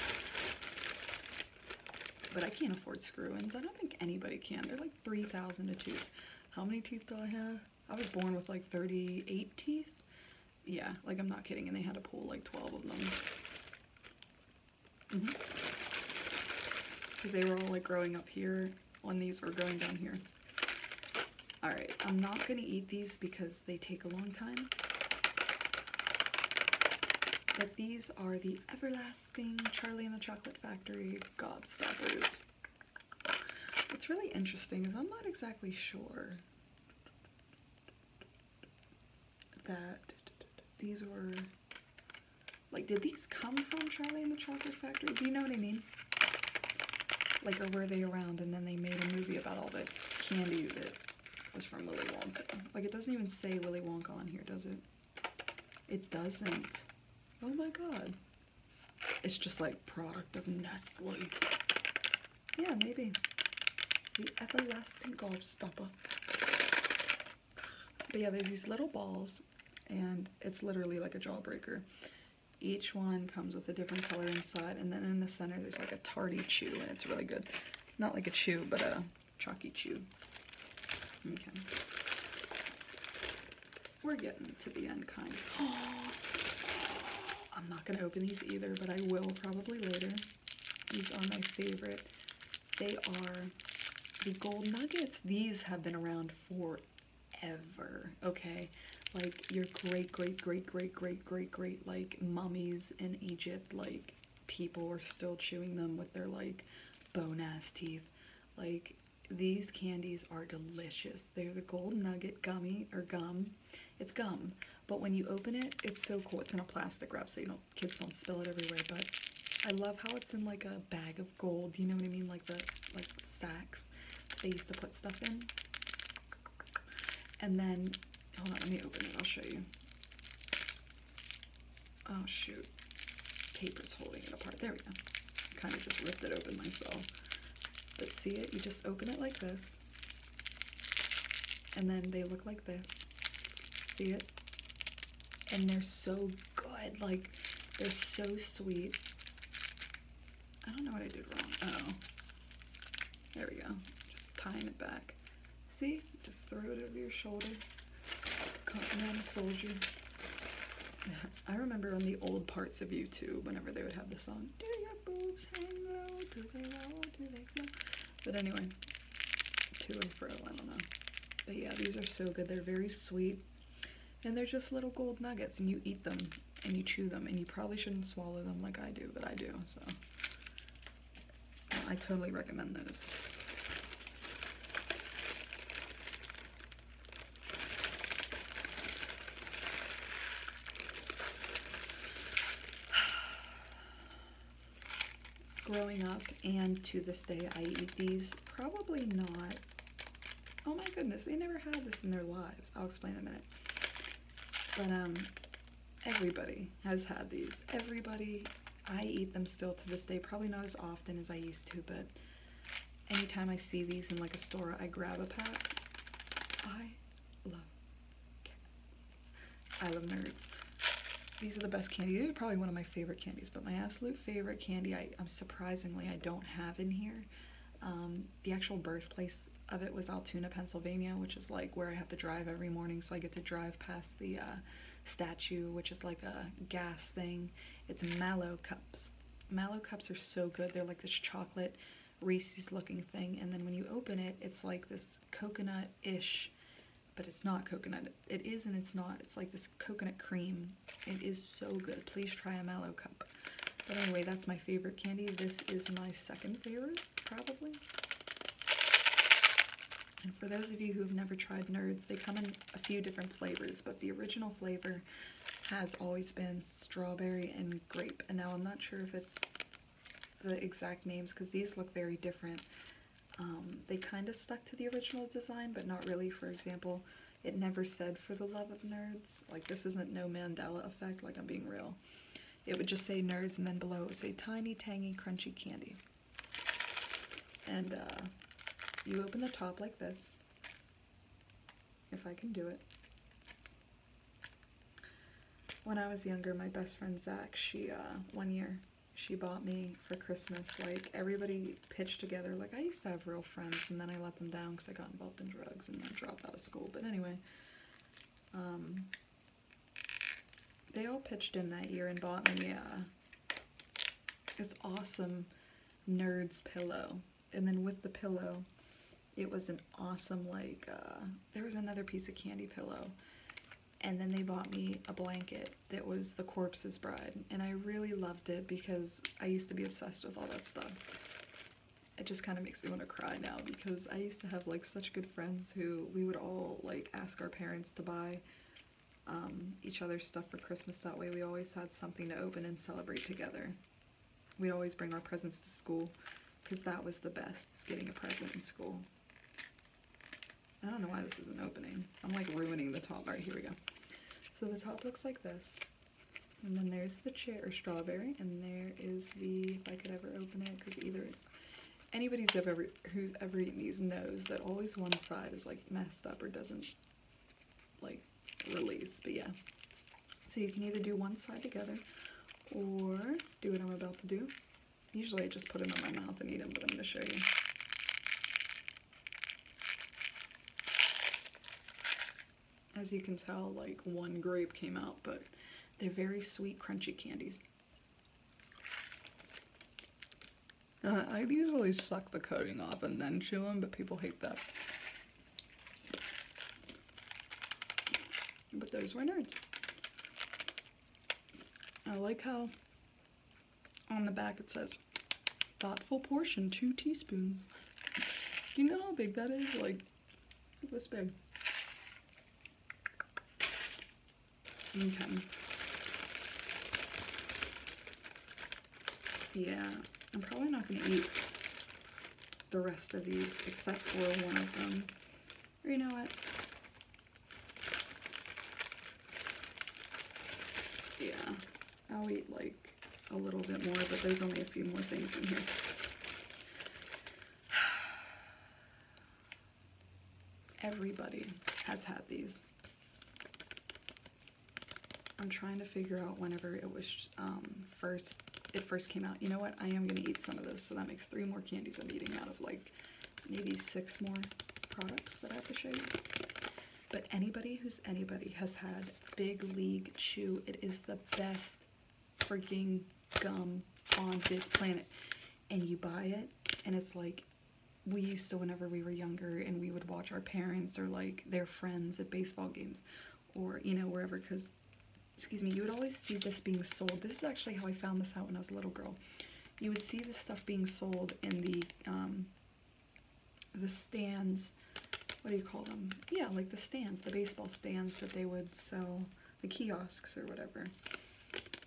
But I can't afford screw-ins. I don't think anybody can. They're like 3,000 a tooth. How many teeth do I have? I was born with like 38 teeth. Yeah, like I'm not kidding. And they had to pull like 12 of them. Because mm-hmm. they were all like growing up here when these were growing down here. Alright, I'm not going to eat these because they take a long time. But these are the everlasting Charlie and the Chocolate Factory gobstoppers. What's really interesting is I'm not exactly sure that these were, like, did these come from Charlie and the Chocolate Factory? Do you know what I mean? Like, or were they around and then they made a movie about all the candy that was from Willy Wonka? Like, it doesn't even say Willy Wonka on here, does it? It doesn't. Oh my god. It's just like product of Nestle. Yeah, maybe. The everlasting gobstopper. But yeah, they these little balls, and it's literally like a jawbreaker. Each one comes with a different color inside, and then in the center there's like a tardy chew, and it's really good. Not like a chew, but a chalky chew. Okay. We're getting to the unkind. I'm not going to open these either, but I will probably later. These are my favorite they are the gold nuggets. These have been around forever, okay? Like your great, great, great, great, great, great, great, like mummies in Egypt, like people are still chewing them with their like bone ass teeth. Like these candies are delicious. They're the gold nugget gummy or gum. It's gum, but when you open it, it's so cool. It's in a plastic wrap so you don't kids don't spill it everywhere, but I love how it's in like a bag of gold. You know what I mean? Like the like sacks that they used to put stuff in. And then, hold on, let me open it. I'll show you. Oh shoot, paper's holding it apart. There we go. Kind of just ripped it open myself. But see it? You just open it like this. And then they look like this. See it? and they're so good. Like, they're so sweet. I don't know what I did wrong. oh. There we go. Just tying it back. See? Just throw it over your shoulder. I remember on the old parts of YouTube, whenever they would have the song, Do your boobs hang low? Do they low? Do they glow? But anyway, to and fro. I don't know. But yeah, these are so good. They're very sweet. And they're just little gold nuggets, and you eat them, and you chew them, and you probably shouldn't swallow them like I do, but I do, so. I totally recommend those. growing up and to this day I eat these. Probably not. Oh my goodness, they never had this in their lives. I'll explain in a minute. But um, everybody has had these. Everybody, I eat them still to this day. Probably not as often as I used to, but anytime I see these in like a store, I grab a pack. I love I love nerds. These are the best candies. probably one of my favorite candies, but my absolute favorite candy, I, am surprisingly, I don't have in here. Um, the actual birthplace of it was Altoona, Pennsylvania, which is like where I have to drive every morning. So I get to drive past the uh, statue, which is like a gas thing. It's mallow cups. Mallow cups are so good. They're like this chocolate Reese's looking thing. And then when you open it, it's like this coconut-ish but it's not coconut. It is and it's not. It's like this coconut cream. It is so good. Please try a mallow cup. But anyway, that's my favorite candy. This is my second favorite, probably. And for those of you who have never tried Nerds, they come in a few different flavors, but the original flavor has always been strawberry and grape. And now I'm not sure if it's the exact names because these look very different. Um, they kind of stuck to the original design, but not really. For example, it never said for the love of nerds. Like this isn't no Mandela effect, like I'm being real. It would just say nerds and then below say tiny, tangy, crunchy candy. And uh, you open the top like this, if I can do it. When I was younger, my best friend Zach, she, uh, one year, she bought me for Christmas. Like, everybody pitched together. Like, I used to have real friends, and then I let them down because I got involved in drugs and then dropped out of school. But anyway, um, they all pitched in that year and bought me uh, this awesome nerd's pillow. And then with the pillow, it was an awesome, like, uh, there was another piece of candy pillow and then they bought me a blanket that was The Corpse's Bride. And I really loved it because I used to be obsessed with all that stuff. It just kind of makes me want to cry now because I used to have like such good friends who we would all like ask our parents to buy um, each other's stuff for Christmas. That way we always had something to open and celebrate together. We'd always bring our presents to school because that was the best, is getting a present in school. I don't know why this isn't opening. I'm like ruining the top. All right, here we go. So the top looks like this. And then there's the cherry strawberry, and there is the, if I could ever open it, because either, anybody who's ever, who's ever eaten these knows that always one side is like messed up or doesn't like release, but yeah. So you can either do one side together or do what I'm about to do Usually I just put them in my mouth and eat them, but I'm going to show you. As you can tell, like one grape came out, but they're very sweet, crunchy candies. I usually suck the coating off and then chew them, but people hate that. But those were nerds. I like how on the back it says, thoughtful portion, two teaspoons. Do You know how big that is? Like, this big. Okay. Yeah, I'm probably not gonna eat the rest of these except for one of them. Or you know what? Yeah, I'll eat like a little bit more, but there's only a few more things in here. Everybody has had these. I'm trying to figure out whenever it was um, first, it first came out. You know what? I am going to eat some of this, so that makes three more candies I'm eating out of like maybe six more products that I have to show you. But anybody who's anybody has had Big League Chew. It is the best freaking gum on this planet. And you buy it, and it's like we used to whenever we were younger and we would watch our parents or like their friends at baseball games or you know wherever because excuse me you would always see this being sold this is actually how I found this out when I was a little girl you would see this stuff being sold in the um, the stands, what do you call them? Yeah, like the stands, the baseball stands that they would sell, the kiosks or whatever.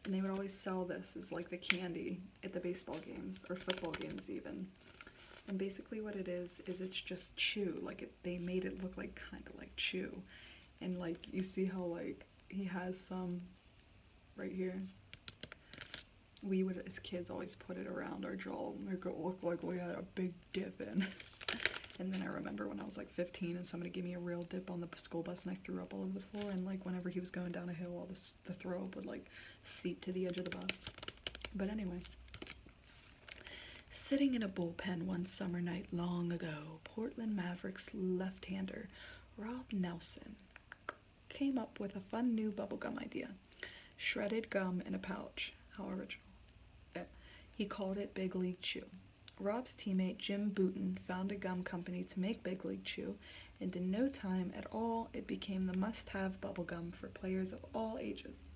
And they would always sell this as like the candy at the baseball games or football games even. And basically what it is, is it's just chew. Like it, they made it look like kind of like chew. And like you see how like he has some right here we would, as kids, always put it around our jaw make it look like we had a big dip in. and then I remember when I was like 15 and somebody gave me a real dip on the school bus and I threw up all over the floor. And like whenever he was going down a hill, all this, the throw up would like seep to the edge of the bus. But anyway. Sitting in a bullpen one summer night long ago, Portland Mavericks left-hander Rob Nelson came up with a fun new bubblegum idea shredded gum in a pouch. How original. Eh, he called it Big League Chew. Rob's teammate Jim Booten found a gum company to make Big League Chew, and in no time at all, it became the must have bubblegum for players of all ages.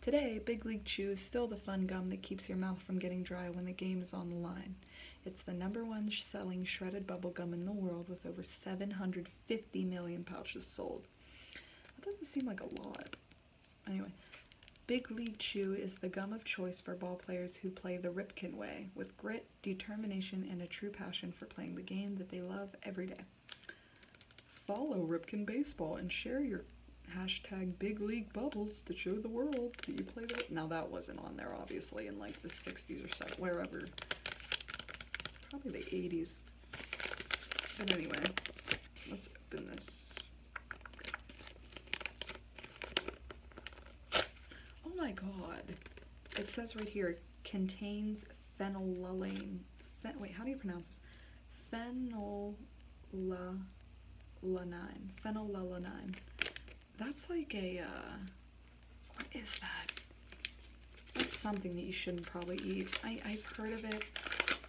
Today, Big League Chew is still the fun gum that keeps your mouth from getting dry when the game is on the line. It's the number one selling shredded bubblegum in the world with over 750 million pouches sold. That doesn't seem like a lot. Anyway, Big League Chew is the gum of choice for ball players who play the Ripken way with grit, determination, and a true passion for playing the game that they love every day. Follow Ripken Baseball and share your hashtag big league bubbles to show the world that you play that. Now that wasn't on there obviously in like the 60s 60s or 70s, wherever. Probably the 80s. But anyway, let's open this. Oh my god. It says right here, contains phenylalanine. wait, how do you pronounce this? Phenylalanine. Phenylalanine. That's like a, uh, what is that? It's something that you shouldn't probably eat. I, have heard of it.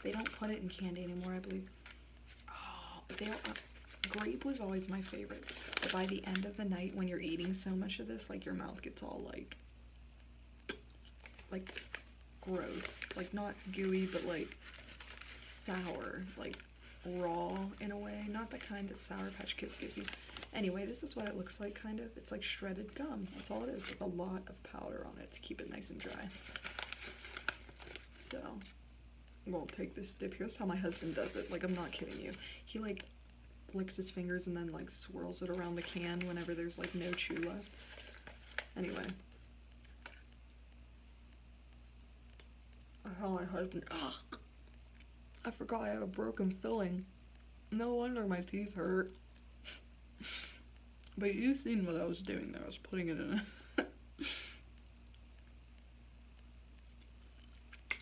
They don't put it in candy anymore, I believe. Oh, they uh, grape was always my favorite. But by the end of the night, when you're eating so much of this, like your mouth gets all like, like gross. Like not gooey, but like sour, like raw in a way. Not the kind that Sour Patch Kids gives you. Anyway, this is what it looks like, kind of. It's like shredded gum. That's all it is, with a lot of powder on it to keep it nice and dry. So, we'll take this dip. Here's how my husband does it. Like, I'm not kidding you. He, like, licks his fingers and then, like, swirls it around the can whenever there's, like, no chew left. Anyway. How my husband... Ugh. I forgot I have a broken filling. No wonder my teeth hurt. but you seen what I was doing there. I was putting it in.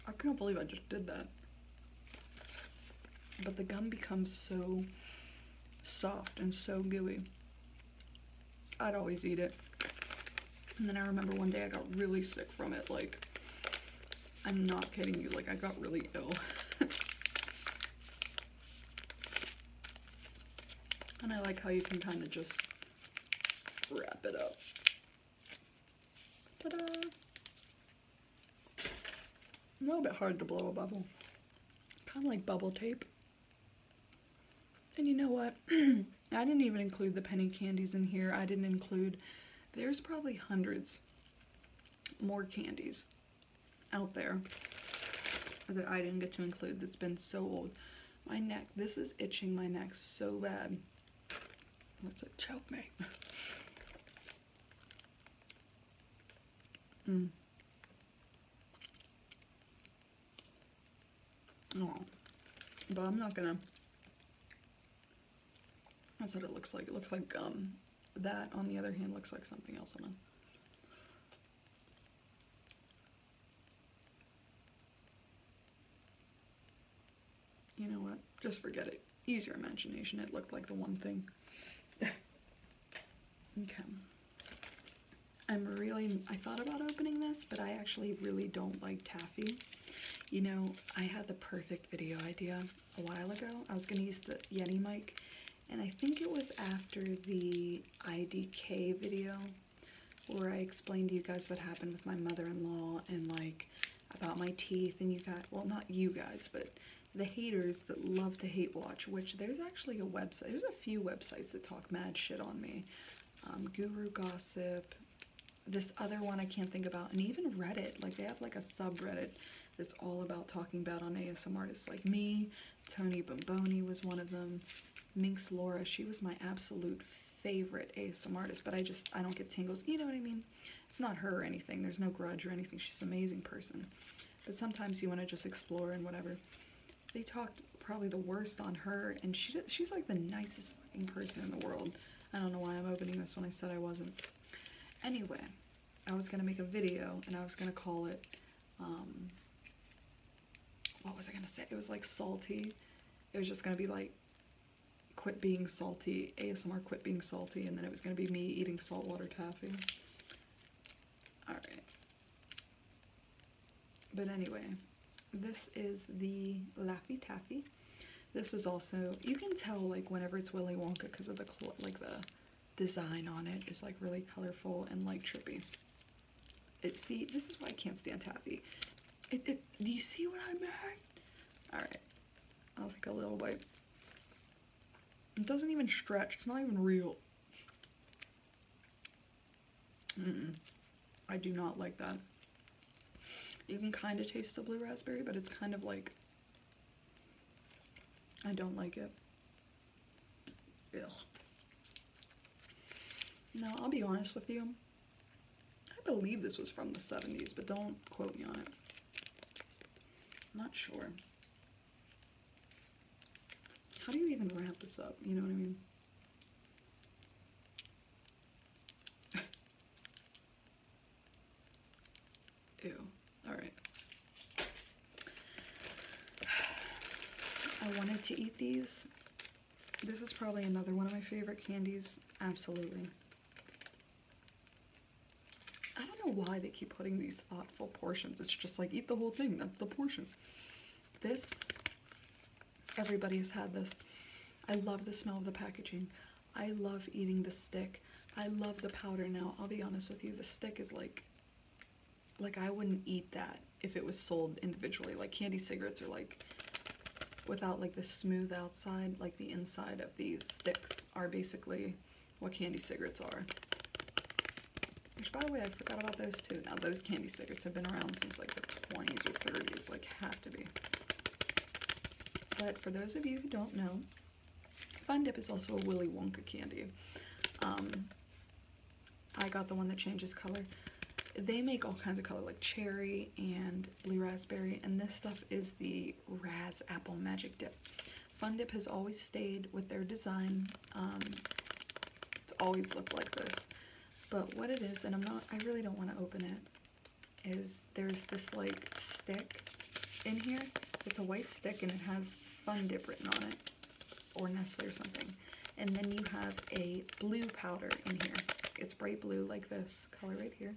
I can't believe I just did that. But the gum becomes so soft and so gooey. I'd always eat it. And then I remember one day I got really sick from it. Like, I'm not kidding you, like I got really ill. and I like how you can kind of just wrap it up. A little bit hard to blow a bubble. Kind of like bubble tape. And you know what? I didn't even include the penny candies in here. I didn't include, there's probably hundreds more candies out there that I didn't get to include that's been so old. My neck, this is itching my neck so bad. Let's like choke me. mm. Oh, but I'm not gonna that's what it looks like. It looks like um, That, on the other hand, looks like something else. Hold on. You know what? Just forget it. Use your imagination. It looked like the one thing. okay. I'm really, I thought about opening this, but I actually really don't like taffy. You know, I had the perfect video idea a while ago. I was going to use the Yeti mic, and I think it was after the IDK video where I explained to you guys what happened with my mother-in-law and like about my teeth and you got well not you guys, but the haters that love to hate watch, which there's actually a website, there's a few websites that talk mad shit on me. Um, guru Gossip, this other one I can't think about, and even Reddit, like they have like a subreddit that's all about talking about on ASM artists like me. Tony Bomboni was one of them. Minx Laura, she was my absolute favorite ASM artist, but I just, I don't get tingles. You know what I mean? It's not her anything. There's no grudge or anything. She's an amazing person. But sometimes you want to just explore and whatever. They talked probably the worst on her, and she she's like the nicest person in the world. I don't know why I'm opening this when I said I wasn't. Anyway, I was gonna make a video and I was gonna call it, um, what was I gonna say? It was like salty. It was just gonna be like, quit being salty, ASMR quit being salty, and then it was gonna be me eating saltwater taffy. Alright. But anyway, this is the Laffy Taffy this is also, you can tell like whenever it's Willy Wonka because of the, like the design on it is like really colorful and like trippy. It, see, this is why I can't stand taffy. It, do you see what I mean? All right, I'll take a little bite. It doesn't even stretch, it's not even real. I do not like that. You can kind of taste the blue raspberry, but it's kind of like I don't like it. Ugh. Now, I'll be honest with you. I believe this was from the 70s, but don't quote me on it. I'm not sure. How do you even wrap this up? You know what I mean? Ew. All right. I wanted to eat these. This is probably another one of my favorite candies. Absolutely. I don't know why they keep putting these thoughtful portions. It's just like, eat the whole thing. That's the portion. This, everybody has had this. I love the smell of the packaging. I love eating the stick. I love the powder now. I'll be honest with you, the stick is like, like I wouldn't eat that if it was sold individually. Like candy cigarettes are like, without like the smooth outside, like the inside of these sticks are basically what candy cigarettes are. Which by the way, I forgot about those too. Now those candy cigarettes have been around since like the 20s or 30s, like have to be. But for those of you who don't know, Fun Dip is also a Willy Wonka candy. Um, I got the one that changes color. They make all kinds of color like cherry and blue raspberry and this stuff is the Raz Apple Magic Dip. Fun Dip has always stayed with their design. Um, it's always looked like this. But what it is, and I'm not, I really don't want to open it is there's this like stick in here. It's a white stick and it has Fun Dip written on it or Nestle or something. And then you have a blue powder in here. It's bright blue like this color right here.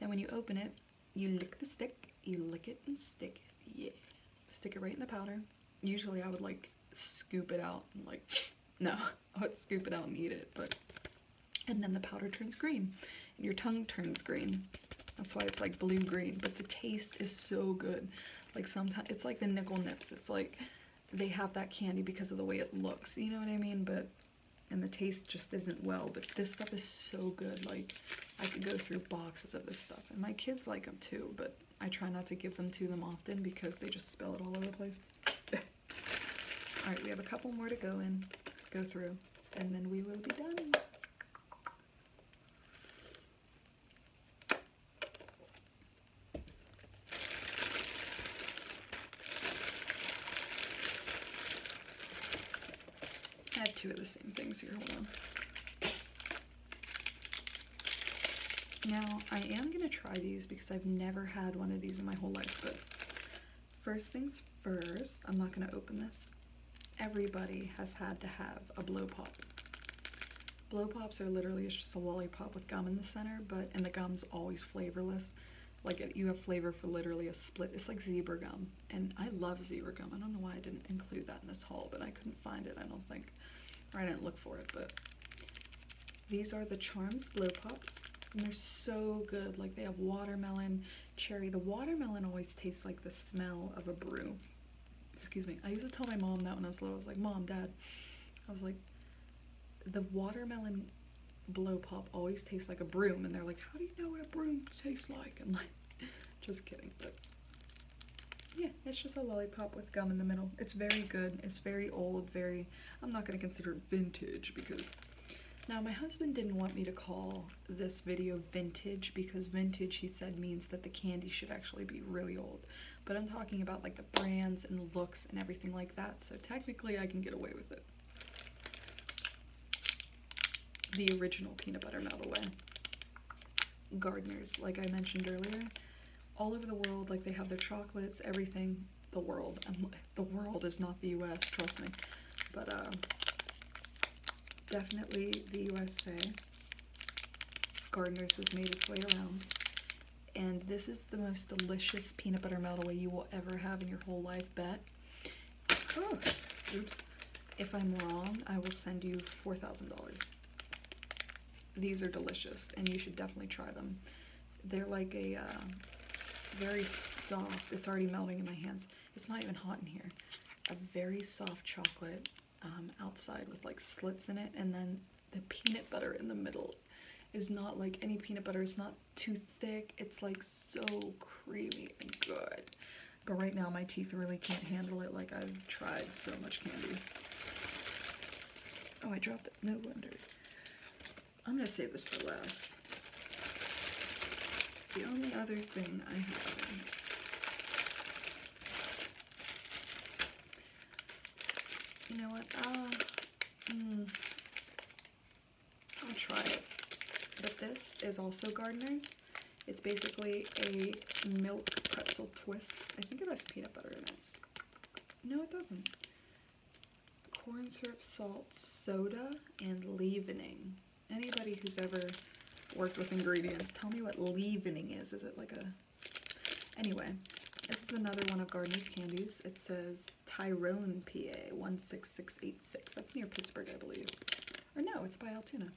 Then when you open it, you lick the stick, you lick it and stick it, yeah. Stick it right in the powder. Usually I would like scoop it out and like, no, I would scoop it out and eat it, but and then the powder turns green and your tongue turns green. That's why it's like blue green, but the taste is so good. Like sometimes it's like the nickel nips. It's like they have that candy because of the way it looks, you know what I mean? But and the taste just isn't well, but this stuff is so good. Like I could go through boxes of this stuff and my kids like them too, but I try not to give them to them often because they just spill it all over the place. all right, we have a couple more to go and go through and then we will be done. I have two of the same things here, hold on. Now, I am going to try these because I've never had one of these in my whole life, but First things first, I'm not gonna open this. Everybody has had to have a blow pop. Blow pops are literally it's just a lollipop with gum in the center, but and the gum's always flavorless. Like you have flavor for literally a split. It's like zebra gum, and I love zebra gum. I don't know why I didn't include that in this haul, but I couldn't find it. I don't think, or I didn't look for it. But these are the Charms blow pops, and they're so good. Like they have watermelon, cherry. The watermelon always tastes like the smell of a broom. Excuse me. I used to tell my mom that when I was little. I was like, Mom, Dad. I was like, the watermelon blow pop always tastes like a broom. And they're like, how do you know what a broom tastes like? And like, just kidding. But yeah, it's just a lollipop with gum in the middle. It's very good. It's very old, very, I'm not going to consider vintage because now my husband didn't want me to call this video vintage because vintage he said means that the candy should actually be really old but I'm talking about like the brands and the looks and everything like that so technically I can get away with it the original peanut butter melt away gardeners like I mentioned earlier all over the world like they have their chocolates everything the world i the world is not the U.S. Trust me, but uh, definitely the USA. Gardeners has made its way around, and this is the most delicious peanut butter meltaway you will ever have in your whole life. Bet. Oh, if I'm wrong, I will send you four thousand dollars. These are delicious, and you should definitely try them. They're like a uh, very soft. It's already melting in my hands it's not even hot in here. A very soft chocolate um, outside with like slits in it and then the peanut butter in the middle is not like any peanut butter. It's not too thick. It's like so creamy and good. But right now my teeth really can't handle it like I've tried so much candy. Oh, I dropped it. No wonder. I'm gonna save this for last. The only other thing I have You know what? Uh, hmm, I'll, mm, try it. But this is also Gardener's. It's basically a milk pretzel twist. I think it has peanut butter in it. No, it doesn't. Corn syrup, salt, soda, and leavening anybody who's ever worked with ingredients, tell me what leavening is. Is it like a... Anyway, this is another one of Gardner's candies. It says Tyrone, PA 16686. That's near Pittsburgh, I believe. Or no, it's by Altoona.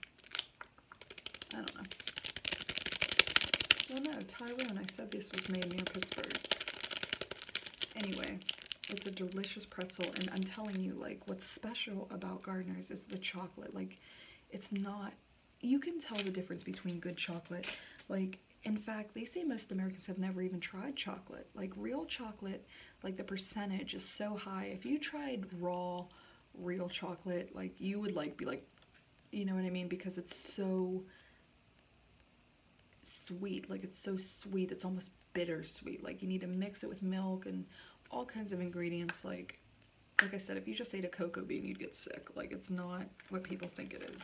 I don't know. Well, no, Tyrone. I said this was made near Pittsburgh. Anyway, it's a delicious pretzel, and I'm telling you, like, what's special about Gardeners is the chocolate. Like, it's not, you can tell the difference between good chocolate. Like, in fact, they say most Americans have never even tried chocolate. Like, real chocolate, like, the percentage is so high. If you tried raw, real chocolate, like, you would, like, be like, you know what I mean? Because it's so sweet. Like, it's so sweet. It's almost bittersweet. Like you need to mix it with milk and all kinds of ingredients. Like, like I said, if you just ate a cocoa bean, you'd get sick. Like it's not what people think it is.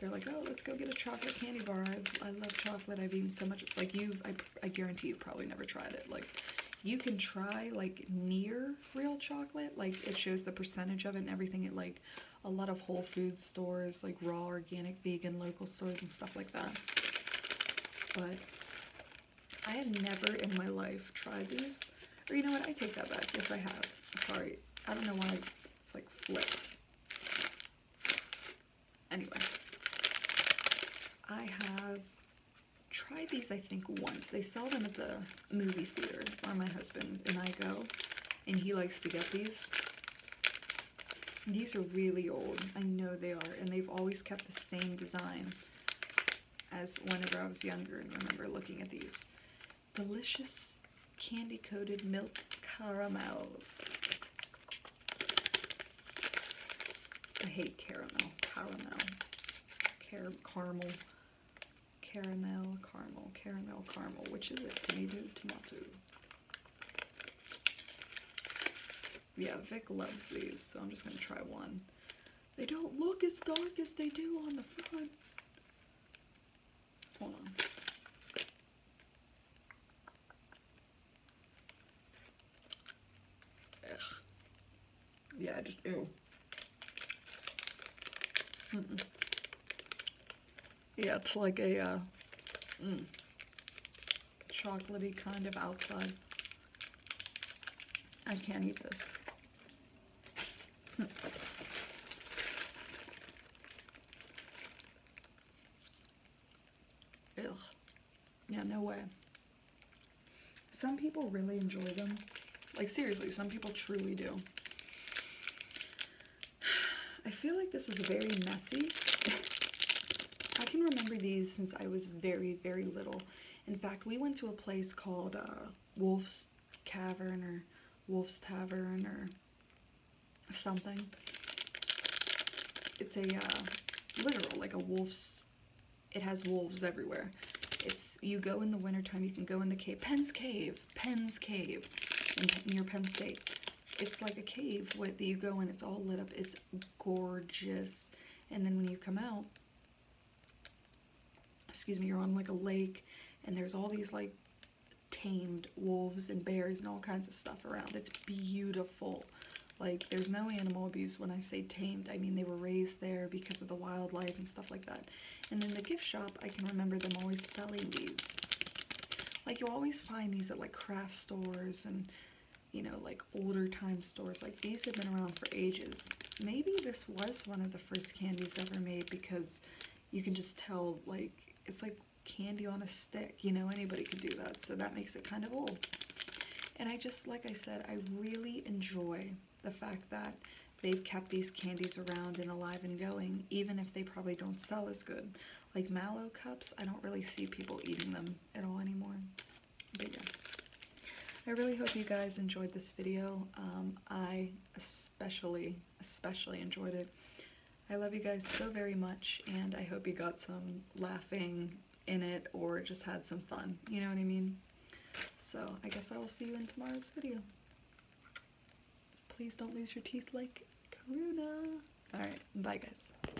They're like, oh, let's go get a chocolate candy bar. I, I love chocolate. I've eaten so much. It's like you, I, I guarantee you probably never tried it. Like you can try like near real chocolate. Like it shows the percentage of it and everything at like a lot of Whole Food stores, like raw, organic, vegan, local. Apple stores and stuff like that. But I have never in my life tried these. Or you know what? I take that back. Yes, I have. Sorry. I don't know why it's like flipped. Anyway. I have tried these, I think, once. They sell them at the movie theater where my husband and I go. And he likes to get these. These are really old. I know they are, and they've always kept the same design as whenever I was younger and remember looking at these. Delicious candy-coated milk caramels. I hate caramel, caramel, Car caramel, caramel, caramel, caramel, caramel. Which is it? Tomato, tomato yeah, Vic loves these, so I'm just gonna try one. They don't look as dark as they do on the front. Hold on. Yeah, I just, ew. Yeah, it's like a, uh, mm chocolatey kind of outside. I can't eat this. Hm. Yeah, no way. Some people really enjoy them. Like, seriously, some people truly do. I feel like this is very messy. I can remember these since I was very, very little. In fact, we went to a place called uh, Wolf's Cavern or Wolf's Tavern or something. It's a uh, literal, like a wolf's, it has wolves everywhere. It's, you go in the wintertime, you can go in the cave, Penn's Cave, Penn's Cave, near Penn State. It's like a cave where you go in, it's all lit up, it's gorgeous. And then when you come out, excuse me, you're on like a lake and there's all these like tamed wolves and bears and all kinds of stuff around. It's beautiful. Like there's no animal abuse when I say tamed. I mean they were raised there because of the wildlife and stuff like that. And in the gift shop, I can remember them always selling these. Like you always find these at like craft stores and you know, like older time stores. Like these have been around for ages. Maybe this was one of the first candies ever made because you can just tell like, it's like candy on a stick, you know, anybody could do that. So that makes it kind of old. And I just, like I said, I really enjoy the fact that they've kept these candies around and alive and going, even if they probably don't sell as good. Like mallow cups, I don't really see people eating them at all anymore. But yeah, I really hope you guys enjoyed this video. Um, I especially, especially enjoyed it. I love you guys so very much, and I hope you got some laughing in it or just had some fun. You know what I mean? So I guess I will see you in tomorrow's video. Please don't lose your teeth like Karuna. Alright, bye guys.